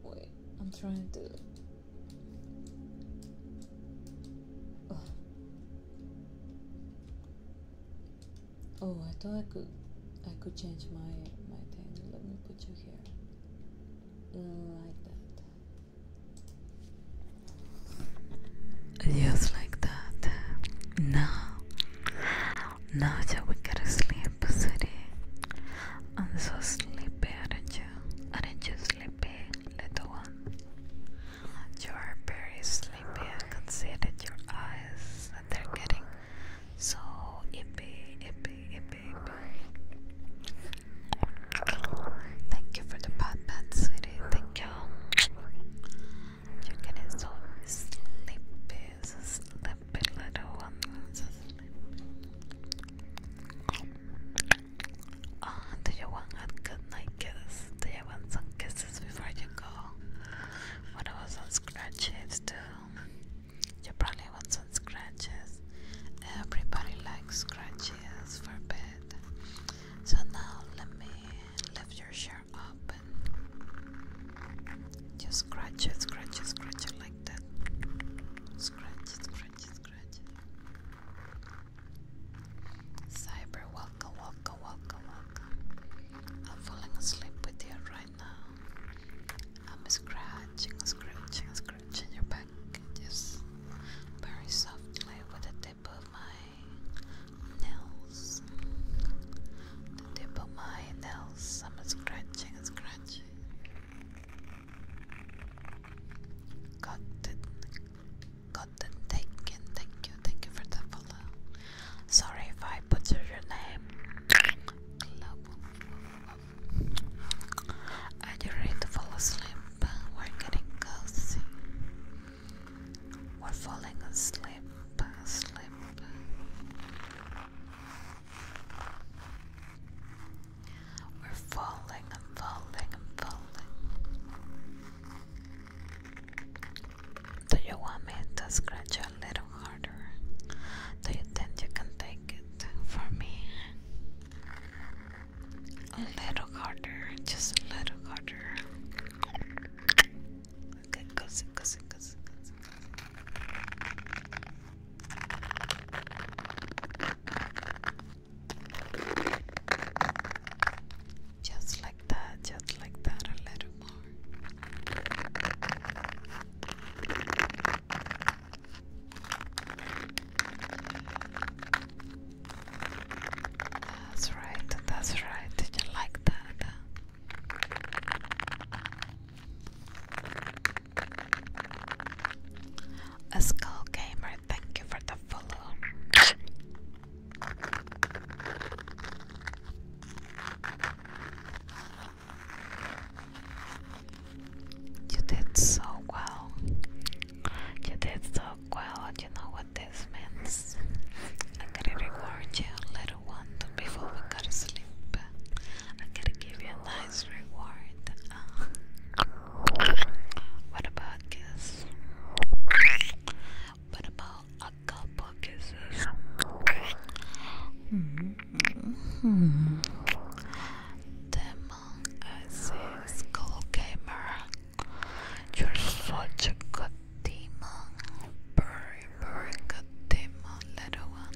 Wait, I'm trying to. Oh. oh, I thought I could. I could change my my thing. Let me put you here, like that. Just like that. Now now that we gotta sleep, city. I'm so sleepy, aren't you? Aren't you sleepy, little one? You are very sleepy. I can see that your eyes that they're getting so ippy, ippy, ippy, ippy. Thank you for the pot pat, sweetie. Thank you. You're getting so sleepy, is ah, a little one. do you want good night kiss? Do you want some kisses before you go? What about some scratches too? You probably want some scratches. Everybody likes scratches for bed. So now let me lift your shirt up just scratch it, scratch it, scratch it like Scratch that. Scratch, scratch, scratch. Cyber, welcome, welcome, welcome, welcome. I'm falling asleep with you right now. I'm scratching, scratching, scratching your back just very softly with the tip of my nails. The tip of my nails. I'm scratching, scratching. Gotten, gotten, taken. Thank you, thank you for the follow. Sorry if I butchered your name. Are you ready to fall asleep? We're getting cozy. We're falling asleep, asleep. We're falling and falling and falling. Do you want me to scratch you a little harder? Do you think you can take it for me? A little harder, just a little harder. Okay, cozy, cozy, cozy, just like that, just like that, a little more. That's right, that's right. Did you like that? A skull gamer, thank you for the follow. You did so well. You did so well. You know what this means. I gotta reward you, little one, before we gotta sleep. I gotta give you a nice reward. Uh, what about kiss? What about a couple kisses? Mm -hmm. Demon, I see Skull Gamer. You're such a good demon. Very, very good demon, little one.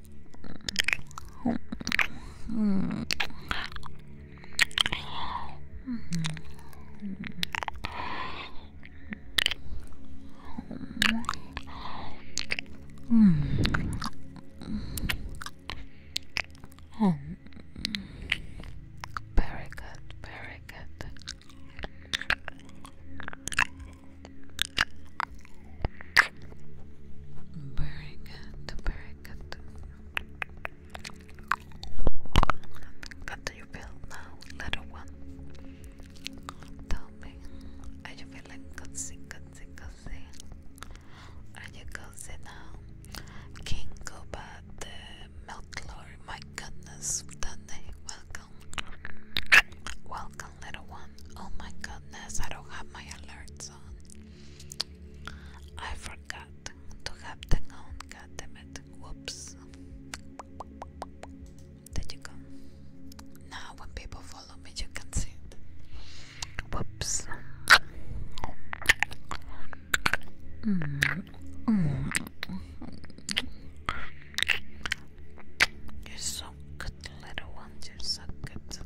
Oh, very good, very good. Very good, very got What do you feel now, little one? Tell me, are you feeling cozy, cozy, cozy? Are you cozy now? King Gobat, the milk lord, my goodness, Danny, welcome. Welcome, little one. Oh my goodness, I don't have my alerts on. I forgot to have the gown, god Whoops. Did you go? Now when people follow me you can see it. Whoops. You're so good, little one. You're so good.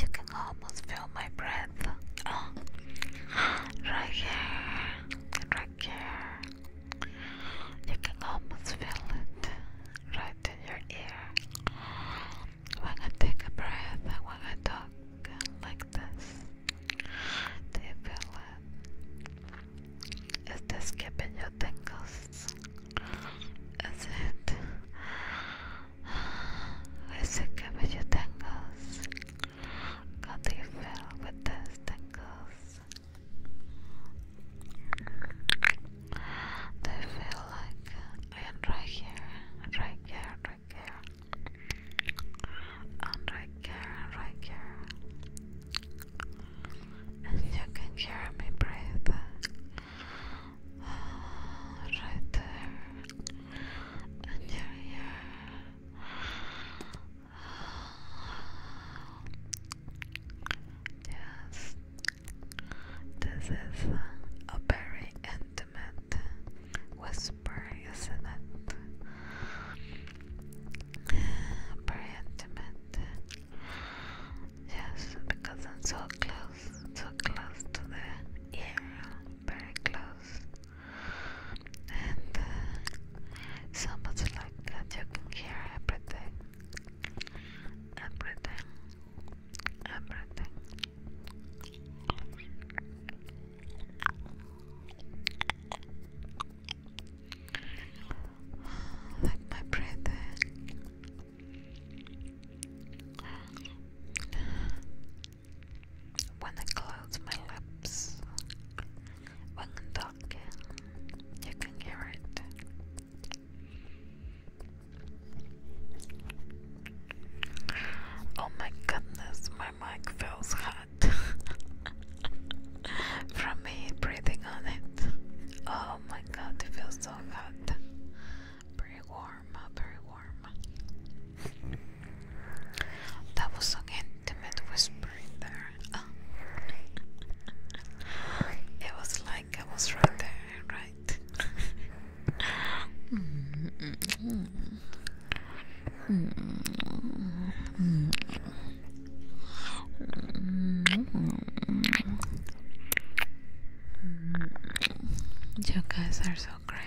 You can almost feel my breath. Oh. Right here. Right here. You can almost feel it. Right in your ear. When I take a breath and when I talk like this. Do you feel it? Is this giving you tingles? Is it? Let's look about your you feel with those tangles? Do feel like I am right here, right here, right here, and right here, right here? And you can hear me breathe right there. Yes, this is a very intimate whisper, isn't it? Very intimate. Yes, because I'm so close, so close to the ear, very close and uh, like that you can hear everything everything everything like my breathing uh, when I close my lips, when I'm you can hear it. Oh my goodness, my mic feels hot from me breathing on it. Oh my god, it feels so hot. Pretty warm. That was an intimate whisper there. it was like I was right there, right? You guys are so great.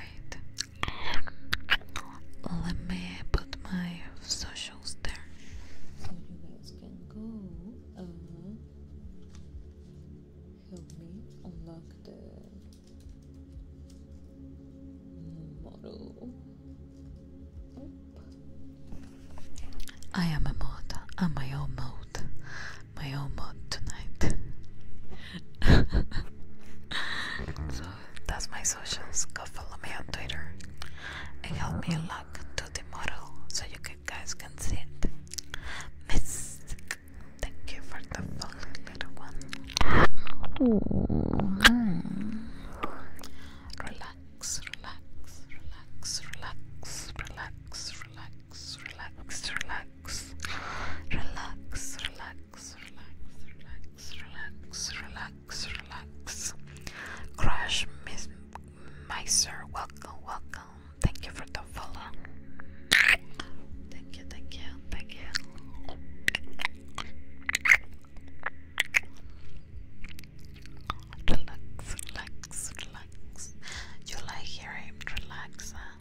Let me put my socials there help me unlock the model. I am a mod. I'm my own mod. My own mod tonight. That's my socials. Go follow me on Twitter. It helped me a lot to the model so you guys can see it. Miss, thank you for the lovely little one. Mm. Relax, relax, relax, relax, relax, relax, relax, relax, relax, relax relax, relax, relax, relax, relax. Crash Miss Miser, welcome, welcome. Thank you for the follow. Thank you, thank you, thank you. Relax, relax, relax. You like hearing relax, huh?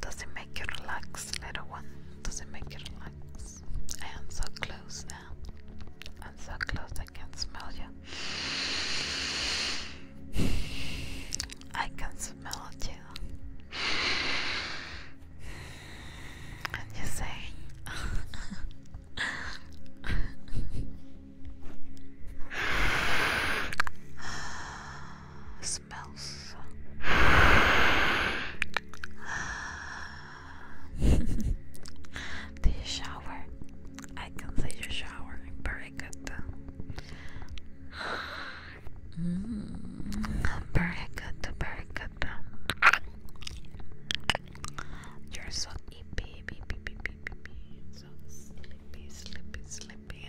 Does it make you relax, little one? Does it make you relax? I am so close now. I'm so close I can smell you. I can smell you. And you say the shower. I consider shower very good. Mm, very good, very good. You're so sleepy, baby, baby, baby, so sleepy, sleepy, sleepy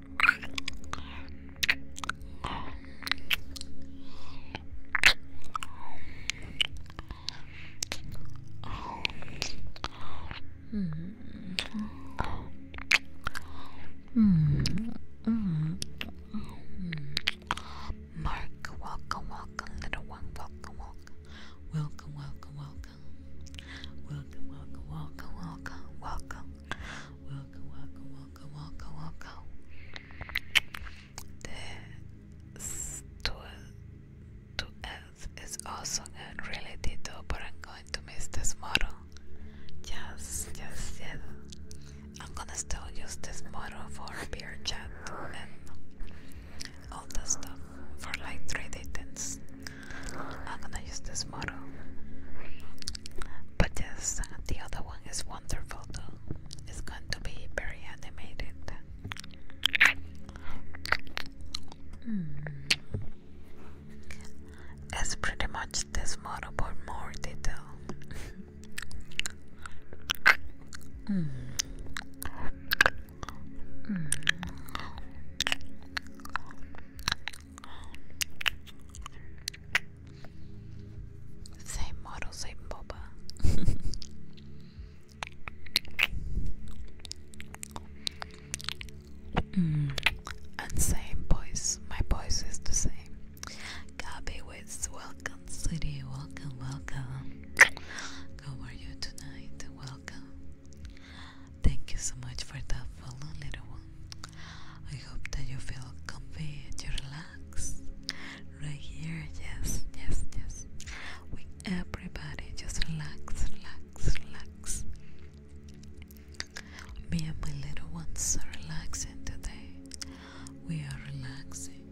Mm. Mark, welcome, welcome, little one, welcome, welcome, welcome, welcome, welcome, welcome, welcome, welcome, welcome, welcome, welcome, welcome, welcome, welcome, welcome. This to to Earth is also good, really, Tito. But I'm going to miss this model. Just, yes, yes. I'm gonna still use this model for beer chat and all the stuff for like three dates. I'm gonna use this model. But yes, the other one is wonderful too. It's going to be very animated. Mm. It's pretty much this model, but more detail. Hmm. Hmm. Same model, same boba. mm. And same voice. My voice is the same. Gabby Wits, welcome city, welcome, welcome. How are you tonight? Welcome. Thank you so much for that follow, little one. I hope that you feel comfy and you relax right here. Yes, yes, yes. With everybody, just relax, relax, relax. Me and my little ones are relaxing today. We are relaxing,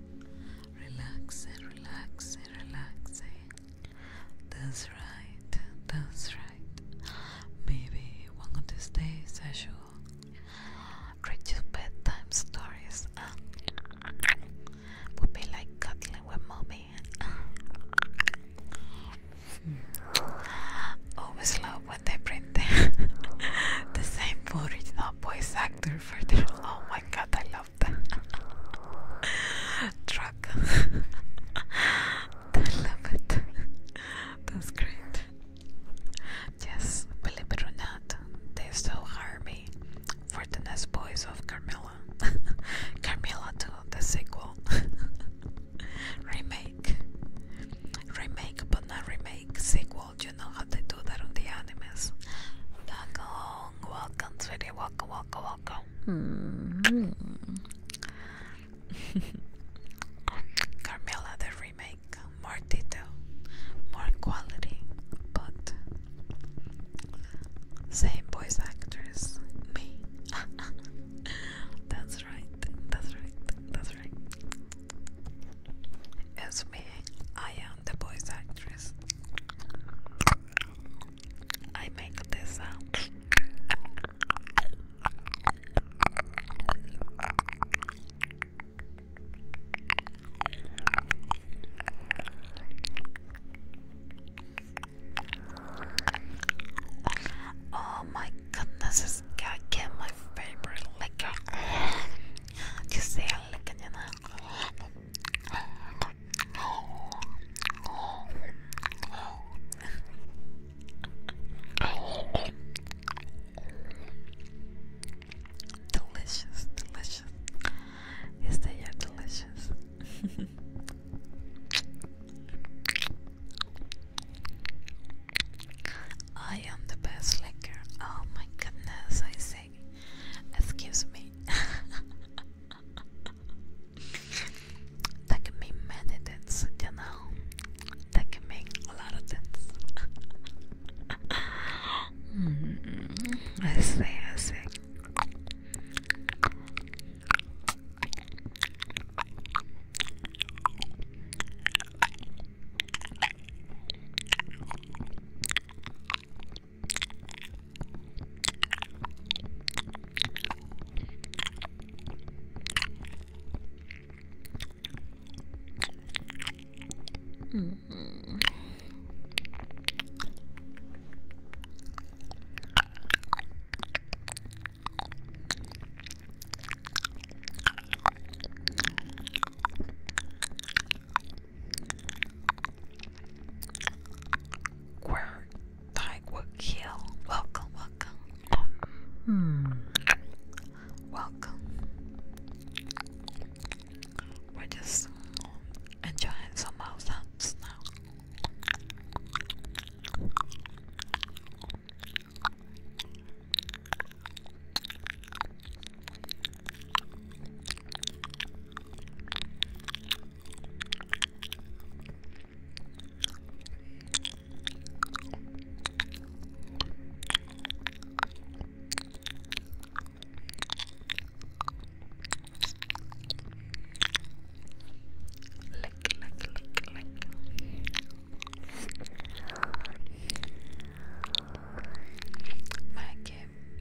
relaxing, relaxing, relaxing. That's right, that's right. Maybe one of these days I should read you bedtime stories. would be like cuddling with mommy. Always love when they bring the, the same original voice actor for their. Oh my god, I love that. Truck. I love it. That's great. Yes, believe it or not, they still hire me for the Nest Boys of Carmilla. Carmilla 2, the sequel. remake. Remake, but not remake. Sequel, you know how they do that on the animes. Welcome, welcome, Welcome, welcome, welcome. Hmm. Carmela the remake, more detail, more quality, but same voice actress, me. that's right, that's right, that's right. It's me, I am the voice actress. I make this sound. Oh my goodness, it's again my favorite liquor. You see liquor, you delicious, delicious. Is that delicious? I am the best liquor. Oh my goodness, I say. Excuse me. that can make many things, you know. That can mean a lot of things. mm, I see, I see. Mm -hmm. would kill. welcome, Hmm. Welcome. We're just enjoying some mouth sounds now. Lick, lick, lick, lick. Mike,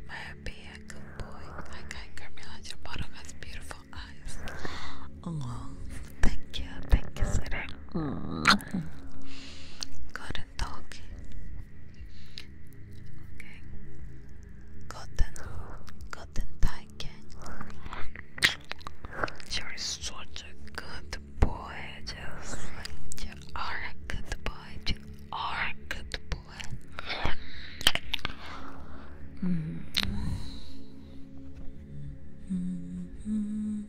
my happy, a good boy. I can't criminalize has beautiful eyes. Oh, thank you, thank you, sir. Mm. Good dog. Okay. Gotten, gotten taken. You're such good boy, just you are good boy, you are good boy. -hmm. -hmm.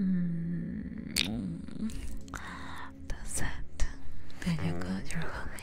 Mm. That's it. Then you got your honey.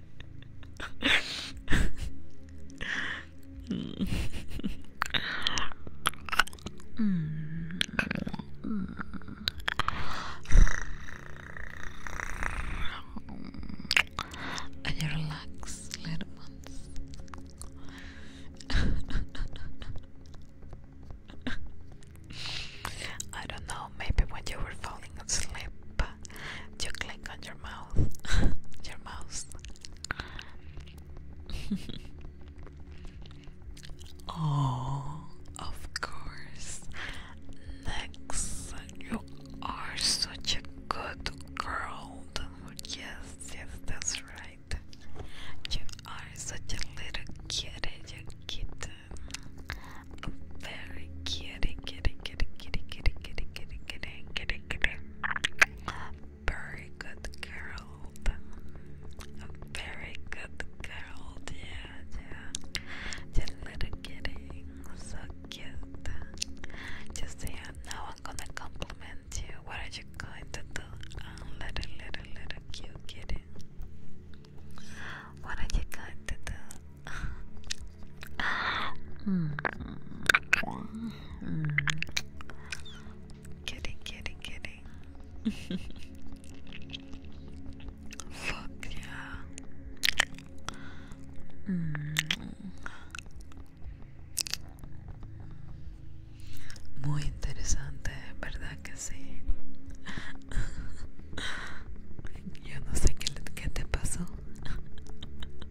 and relax, little ones. I don't know, maybe when you were falling asleep you click on your mouth, your mouse. oh, of course. Next, you are such a good girl. Yes, yes, that's right. You are such a little kitty, you kitten. Very kitty, kitty, kitty, kitty, kitty, kitty, kitty, kitty, kitty, kitty, very good girl. Very good girl, yeah, yeah. Just little kitty, so cute. Just say, now I'm gonna compliment you. What are you going to do? little, little, little cute kitty. What are you going to do? Kitty, kitty, kitty. Fuck yeah. Muy interesante, ¿verdad que sí? Yo no sé qué, qué te pasó. You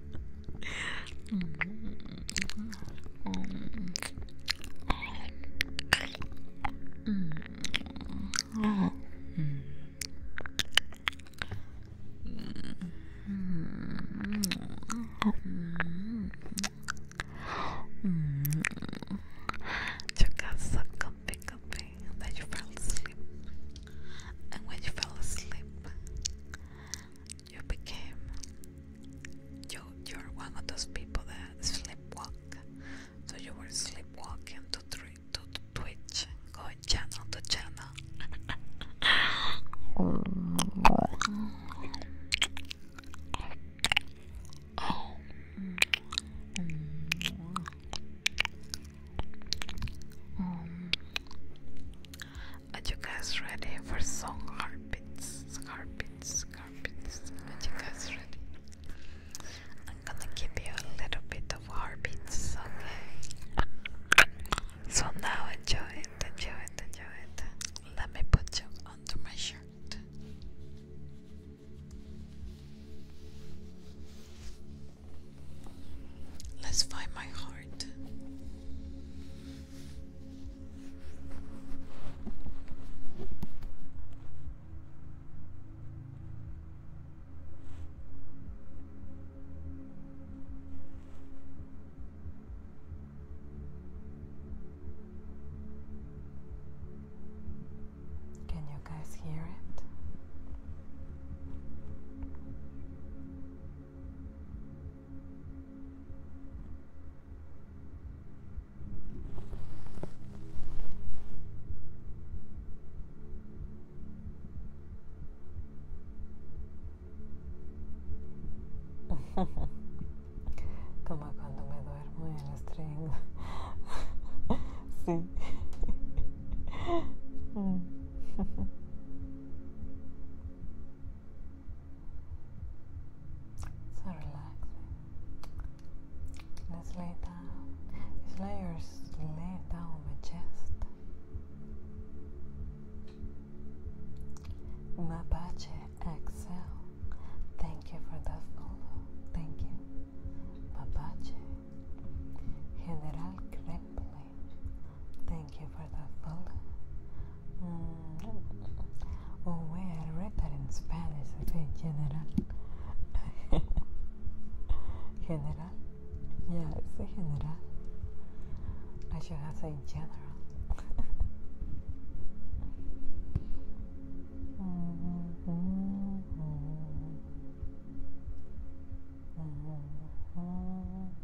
got so comfy, comfy that you fell asleep. And when you fell asleep, you became you you're one of those people that sleepwalk. So you were sleepwalking to to Twitch, going channel to channel. Are you guys ready for song heartbeats? Heartbeats, heartbeats. Are you guys ready? I'm gonna give you a little bit of heartbeats, okay? So now enjoy it, enjoy it, enjoy it. Let me put you under my shirt. Let's find my heart. Can you guys hear it? Como cuando me duermo y el string. sí. Mm. so relaxing. Let's lay down. It's like you're laying down on my chest. Mapache Excel. Thank you for that follow. Thank you. Mapache. General Kremple. Thank you for that, Paul. Mm. Oh, wait, I read that in Spanish. general. general? Yeah, it's a general. I should have said general. Mm-hmm. Mm-hmm. Mm-hmm.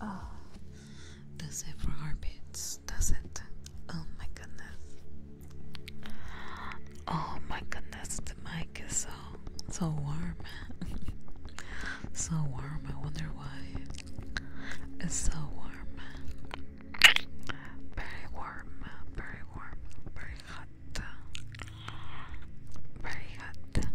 Oh, the zebra armpits, does it? Oh my goodness. Oh my goodness, the mic is so, so warm. so warm, I wonder why. It's so warm. Very warm, very warm, very hot. Very hot.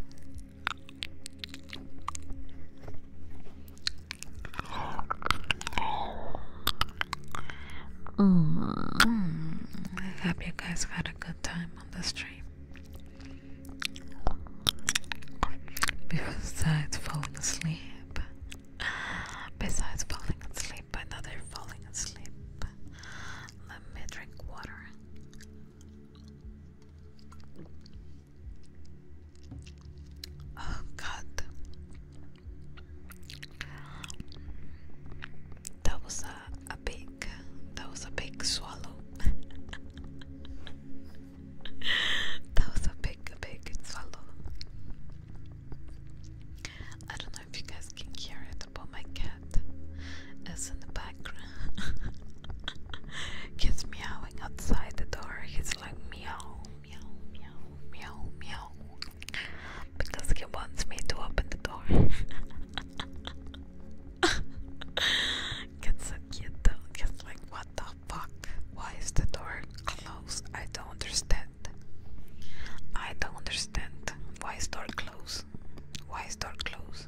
Mm. I hope you guys had a good time on the stream. Besides falling asleep, besides falling asleep, another falling asleep. Let me drink water. Oh God, that was a, big, that was a big swallow. that was a big, big swallow. I don't know if you guys can hear it, but my cat is in the background. He's meowing outside the door. He's like meow, meow, meow, meow, meow. Because he wants me to open the door. It's so cute though. He's like, what the fuck? Why is the door closed? I don't understand. I don't understand. Why is door closed? Why is door closed?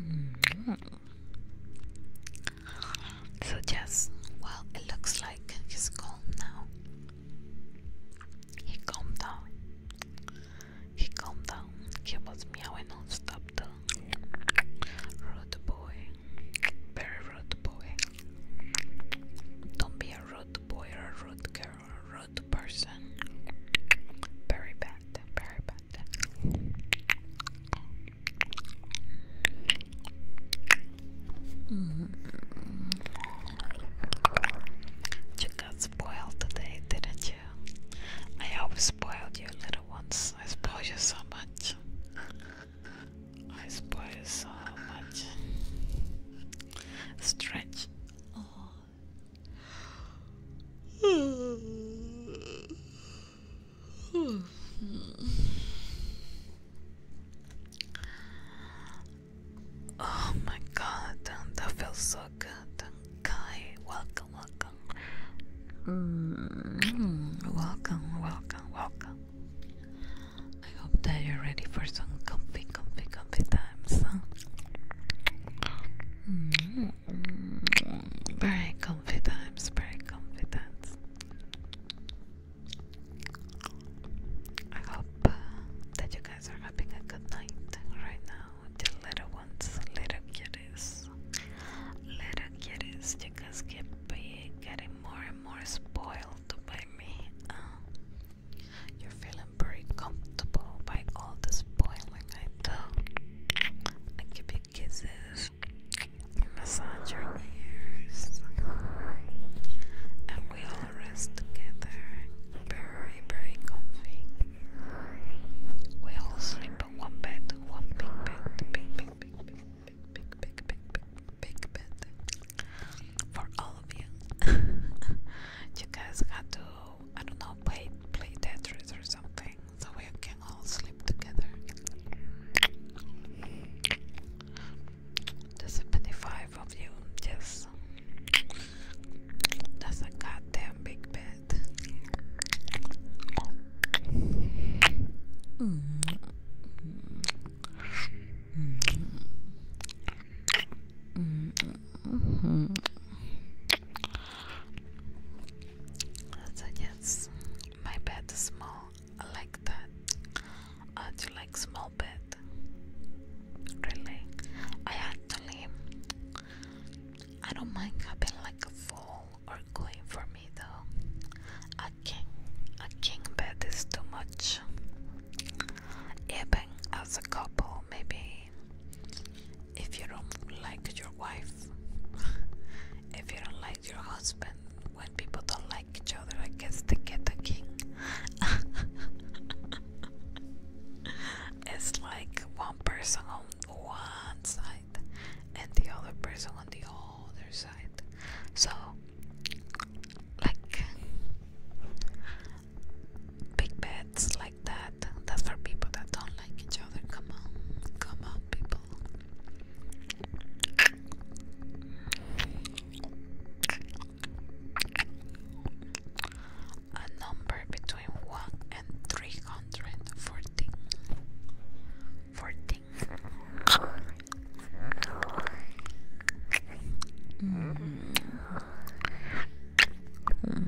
Mm-hmm. So yes, well, it looks like he's calm now. He calmed down. He calmed down. He was meowing non though. Rude boy. Very rude boy. Don't be a rude boy or a rude girl or a rude person. Very bad. Very bad. Mm -hmm. You got spoiled today, didn't you? I always spoiled you little ones. I spoiled you so much. I spoil so much. Stretch. Oh. oh my god, that feels so good. Kai, welcome, welcome. Mm, welcome, welcome, welcome. I hope that you're ready for some comfy, comfy, comfy times. Mm-hmm. Very comfy times, very comfy times. I hope uh, that you guys are having a good night right now. little ones, little kitties, little kitties, you guys keep being getting more and more spoiled by me. Uh, you're feeling very comfortable by all the spoiling I do. I give you kisses, massage your ears, and we all rest together. Very, very comfy. We all sleep in one bed, one big bed, big, big, big, big, big, big bed for all of you. you guys had to, I don't know, play play Tetris or something, so we can all sleep together. The 75 of you, yes. That's a goddamn big bed. Mm -hmm yes, my bed is small. I like that. I do you like small bed? Really? I actually I don't mind having like a full or clean for me though. A king a king bed is too much. Even as a couple, maybe if you don't like your wife, if you don't like your husband, when people don't like each other, I guess they get a king. it's like one person on one side and the other person on the other so, like big beds like that. That's for people that don't like each other. Come on, come on, people. A number between one and three hundred fourteen fourteen. Mm. mm.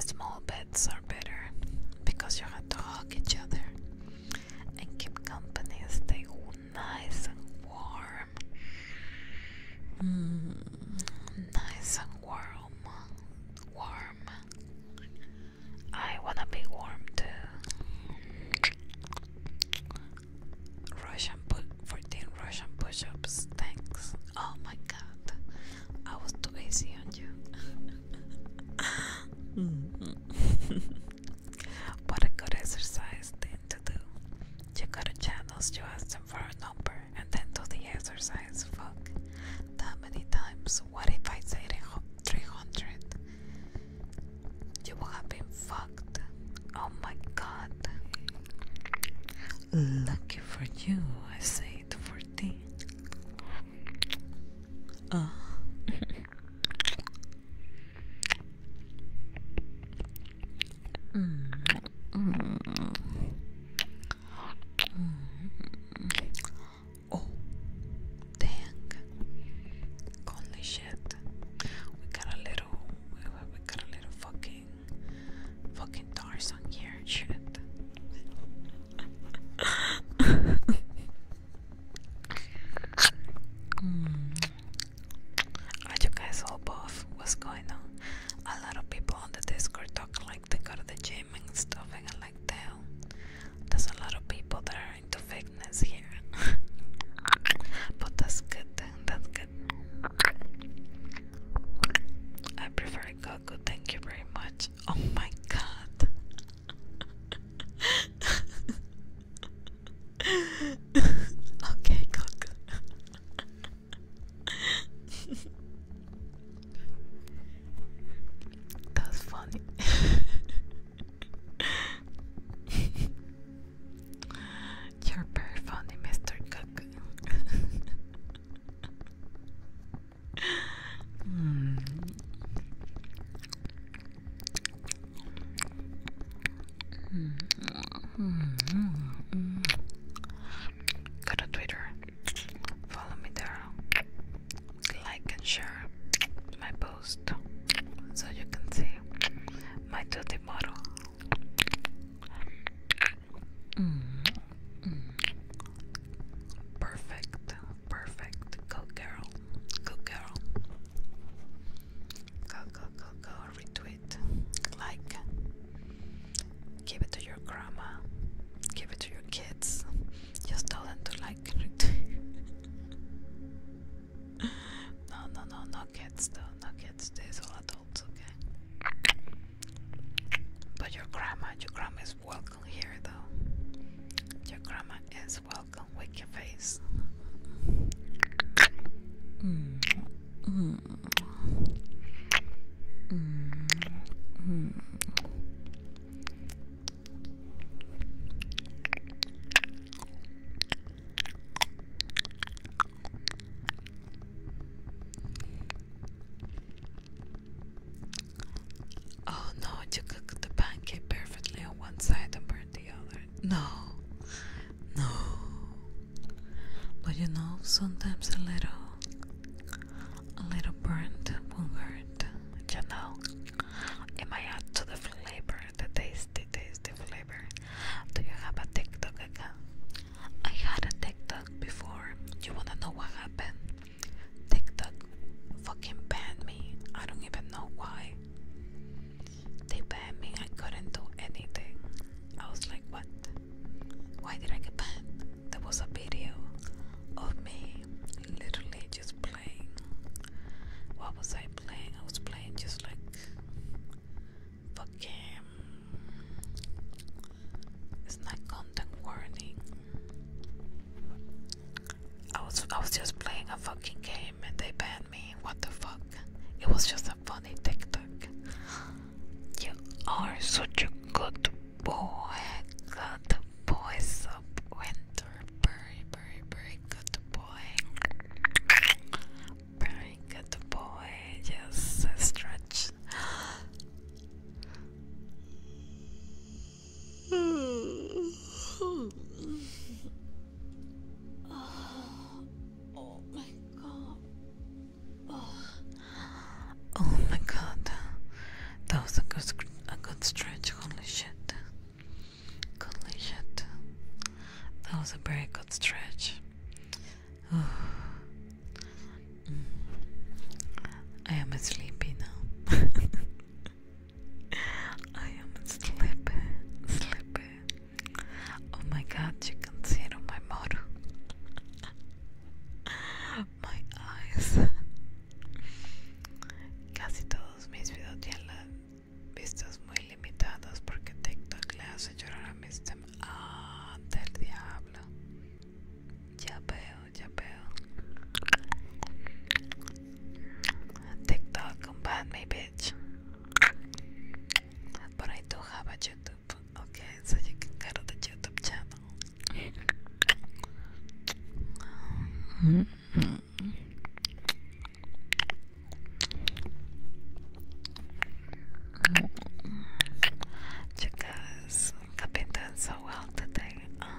Small beds are better because you have to hug each other and keep company, stay nice and warm. Mm. Nice and warm, warm. I wanna be warm too. Russian put 14 Russian push-ups. Thanks. Oh my god, I was too easy on you. what a good exercise thing to do. You go to channels, you ask them for a number, and then do the exercise. Fuck. That many times. What if I say it 300. You will have been fucked. Oh my god. Lucky for you, I say 14. Uh. mm. mm. mm. Oh, dang! Holy shit! We got a little, we, got a little fucking, fucking Tarzan here. Shit. mm. you guys all buff? What's going on? A lot of people on the Discord talk like they go to the gym and stuff, and I like, damn, there's a lot of people that to fakeness here, but that's good. That's good. I prefer Goku. Thank you very much. Oh my god. okay, Goku. That's funny. You're very funny, Mr. Cook. Go to Twitter. Follow me there like and share my post so you can see my duty model. Perfect, perfect. Go girl, go girl. Go, go, go, go. Retweet, like, give it to your grandma, give it to your kids. Just tell them to like and retweet. no, no, no, no kids though, no kids. These all adults, okay? But your grandma, your grandma is welcome here though. Your grandma is welcome. Wake your face. Oh no, you cook the pancake perfectly on one side and burn the other. No, no. But you know, sometimes a little, a little burnt won't hurt. You know. Am I out to the flavor? The taste, the taste, the flavor. Do you have a TikTok account? I had a TikTok before. You wanna know what happened? TikTok fucking banned me. I don't even know why. They banned me. I couldn't do anything. I was like, what? Why did I get banned? There was a video of me literally just playing. What was I playing? I was playing just like fucking. It's not content warning. I was I was just playing a fucking game and they banned me. What the fuck? It was just a funny TikTok. You are such a good boy. Good boy, sub winter. Very, very, very good boy boy. Very good boy. Yes, stretch. oh my god. oh my god. That was a good, a good stretch. Holy shit. Holy shit. That was a very good stretch. Mm. I am sleepy now. I am sleepy, sleepy. Oh my god, you can see it on my model. my eyes. Casi todos mis videos ya vistas muy limitadas porque TikTok le hace llorar a del diablo. Ya veo, ya veo. TikTok me, bitch. But I do have a YouTube. Okay, so you can get YouTube channel. Mm. Hmm. You have been doing so well today. Um.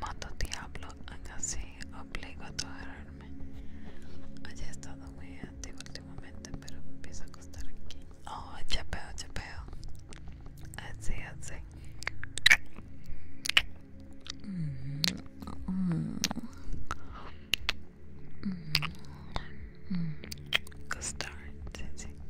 Mato diablo, acá sí, obligo a tocarme. Haya estado muy activo últimamente, pero me empieza a costar aquí. Oh, chapeo, chapeo. Así, eh, así. Eh, mm -hmm. Mm -hmm. Costar, sí, sí.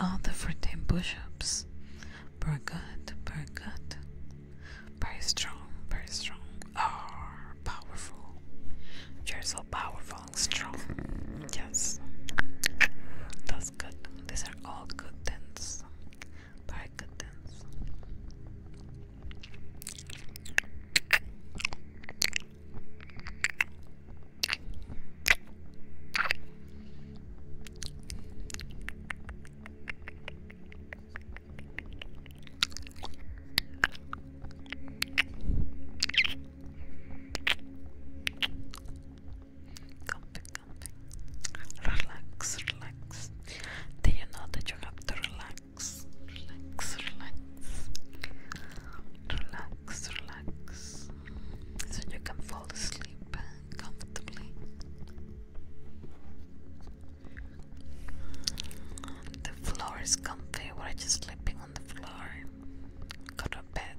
All the freaking push-ups. Very good, very good. Very strong, very strong. Oh, powerful. You're so powerful strong, Yes, that's good. These are all good things. Very good things. Relax, relax. Do you know that you have to relax? Relax, relax. Relax, relax. So you can fall asleep comfortably. The floor is comfy. We're just sleeping on the floor. Go to bed,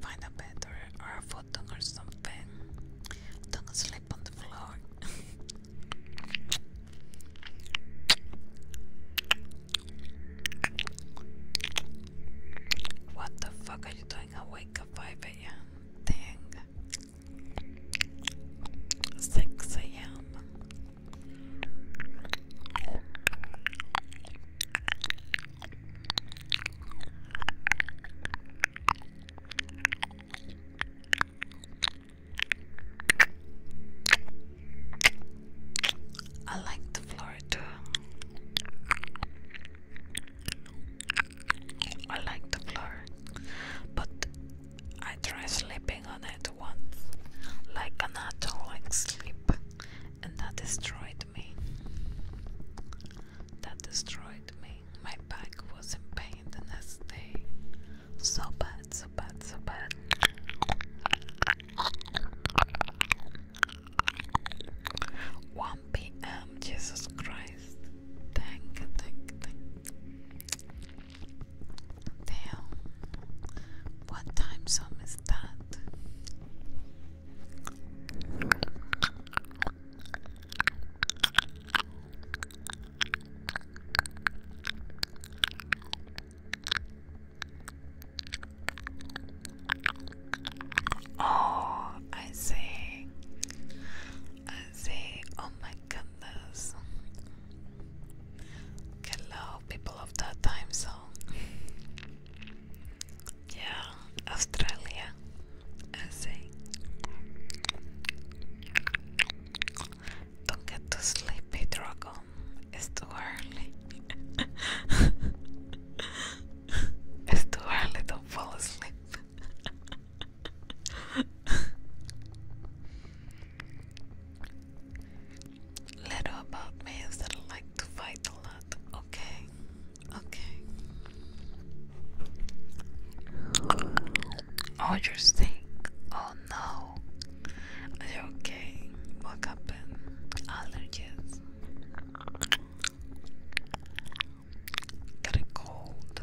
find a bed or, or a futon or something. Don't sleep on the floor. what the fuck are you doing awake at 5 a.m.? Dang. 6 a.m. I like the Florida. I like the floor, but I tried sleeping on it once, like an adult, like sleep, and that destroyed me. That destroyed me. My back was in pain the next day. So bad, so bad, so bad. One p.m. Jesus Christ. Thank, thank, thank. Damn. What time zone is that? Oh, I see. I see. Oh my goodness. Hello, people of that time zone. Yeah, Australia, Don't get too sleepy, Dragon. It's too early. it's too early, do fall asleep. little about me that I like to fight a lot, okay? Okay. Oh, you're Oh no. okay? What happened? Allergies. Getting cold.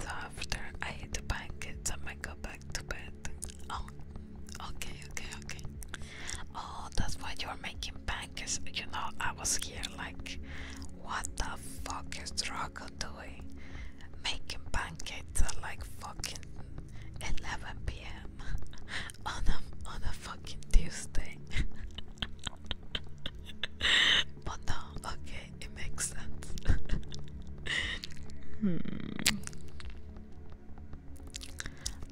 So after I hit the blankets, I might go back to bed. Oh, okay, okay, okay. Oh, that's why you're making pancakes. You know, I was here like, what the fuck is Draco doing? Making pancakes at like fucking 11 p.m. on a on a fucking Tuesday. but no, okay, it makes sense. Hmm.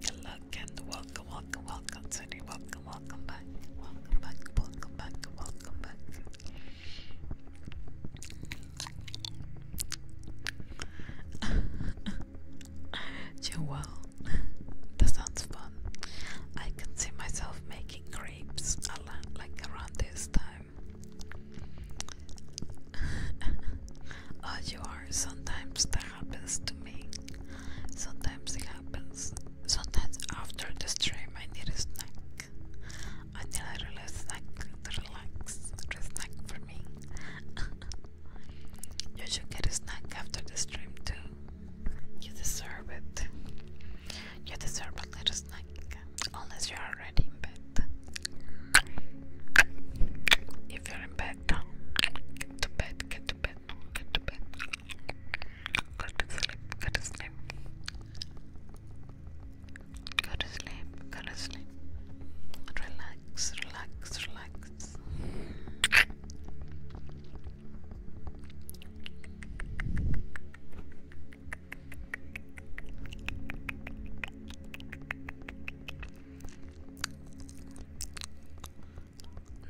Good luck and welcome, welcome, welcome, Tony. Welcome, welcome back. Welcome back, welcome back, welcome back. Joelle, that sounds fun. I can see myself making crepes a like around this time. oh, you are. Sometimes that happens to me. Sometimes it happens. Sometimes after the stream, I need a snack. Until I realize snack to relax. A snack for me. you should get a snack after the stream too. You deserve it. You deserve a little snack unless you're already in bed. If you're in bed, get to bed, get to bed, get to bed, go to sleep, go to sleep, go to sleep, go to sleep, relax, relax, relax.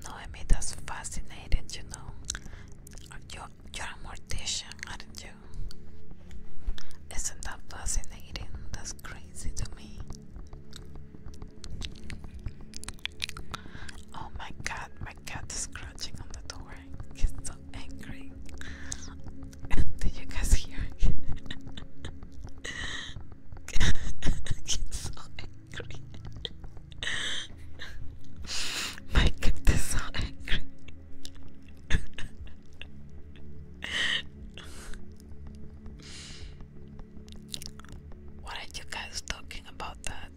Noemi, that's fascinated, you know. You're, you're a mortician, aren't you? Isn't that fascinating? That's crazy to me. Oh my god, my cat scratching on the door. He's so angry. Did you guys hear? I get so angry. My kid is so angry. what are you guys talking about that?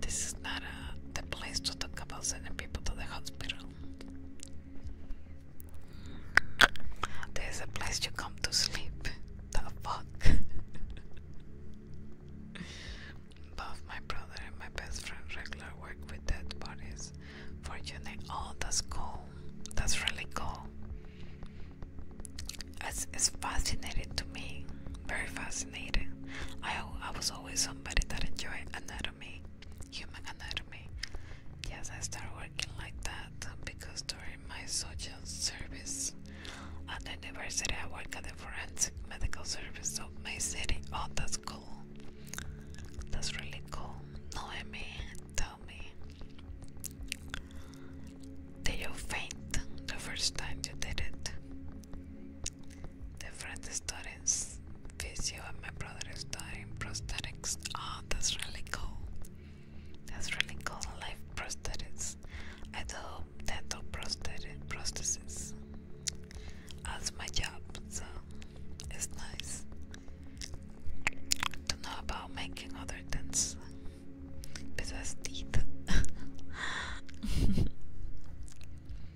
This is not a, the place to talk about sending people to the hospital. There's a place to come to sleep. The fuck? Both my brother and my best friend regular work with dead bodies. Fortunately, oh, that's cool. That's really cool. It's, it's fascinating to me. Very fascinating. I, I was always somebody that enjoyed anatomy human anatomy. Yes, I started working like that because during my social service at the university, I work at the forensic medical service of my city. Oh, that's cool. That's really cool. Noemi, tell me. Did you faint the first time you did it? Different story is my brother is doing prosthetics. Ah, that's really cool. That's really cool. Life prosthetics. I do dental prosthetic prosthesis. That's my job, so it's nice to know about making other things besides teeth.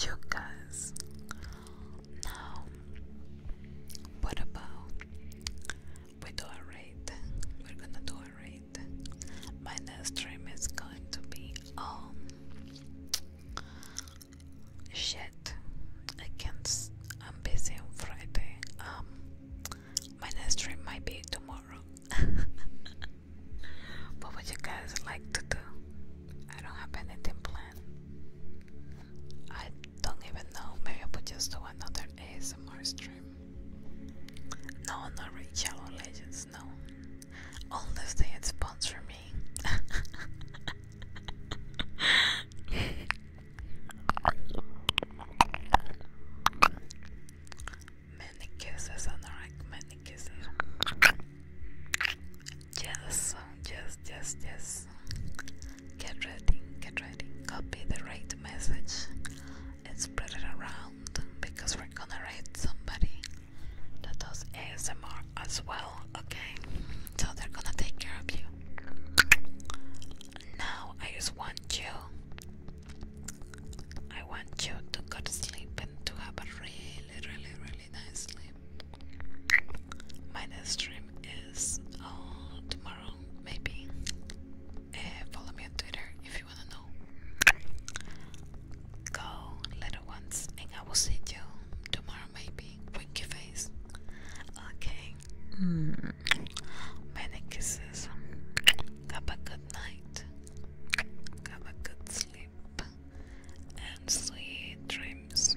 Yuccas. Now, what about we do a rate? We're gonna do a rate. My next stream is going to be um shit. I can't. I'm busy on Friday. Um, my next stream might be tomorrow. What would you guys like to do? I don't have anything planned. I don't even know. Maybe I would just do another ASMR stream. No, not really Shadow Legends, no. Unless they had sponsor me. many kisses on the like many kisses. Yes, yes, yes, yes. Get ready, get ready. Copy the right message and spread it around because we're gonna rate somebody that does ASMR as well, okay? So they're gonna take care of you. Now I just want you I want you to go to sleep and to have a really, really, really nice sleep. My next dream is uh, tomorrow, maybe. Eh, follow me on Twitter if you wanna know. Go, little ones, and I will see you tomorrow, maybe. Wink your face. Okay. Hmm. Many kisses. Have a good night. Have a good sleep and sweet dreams.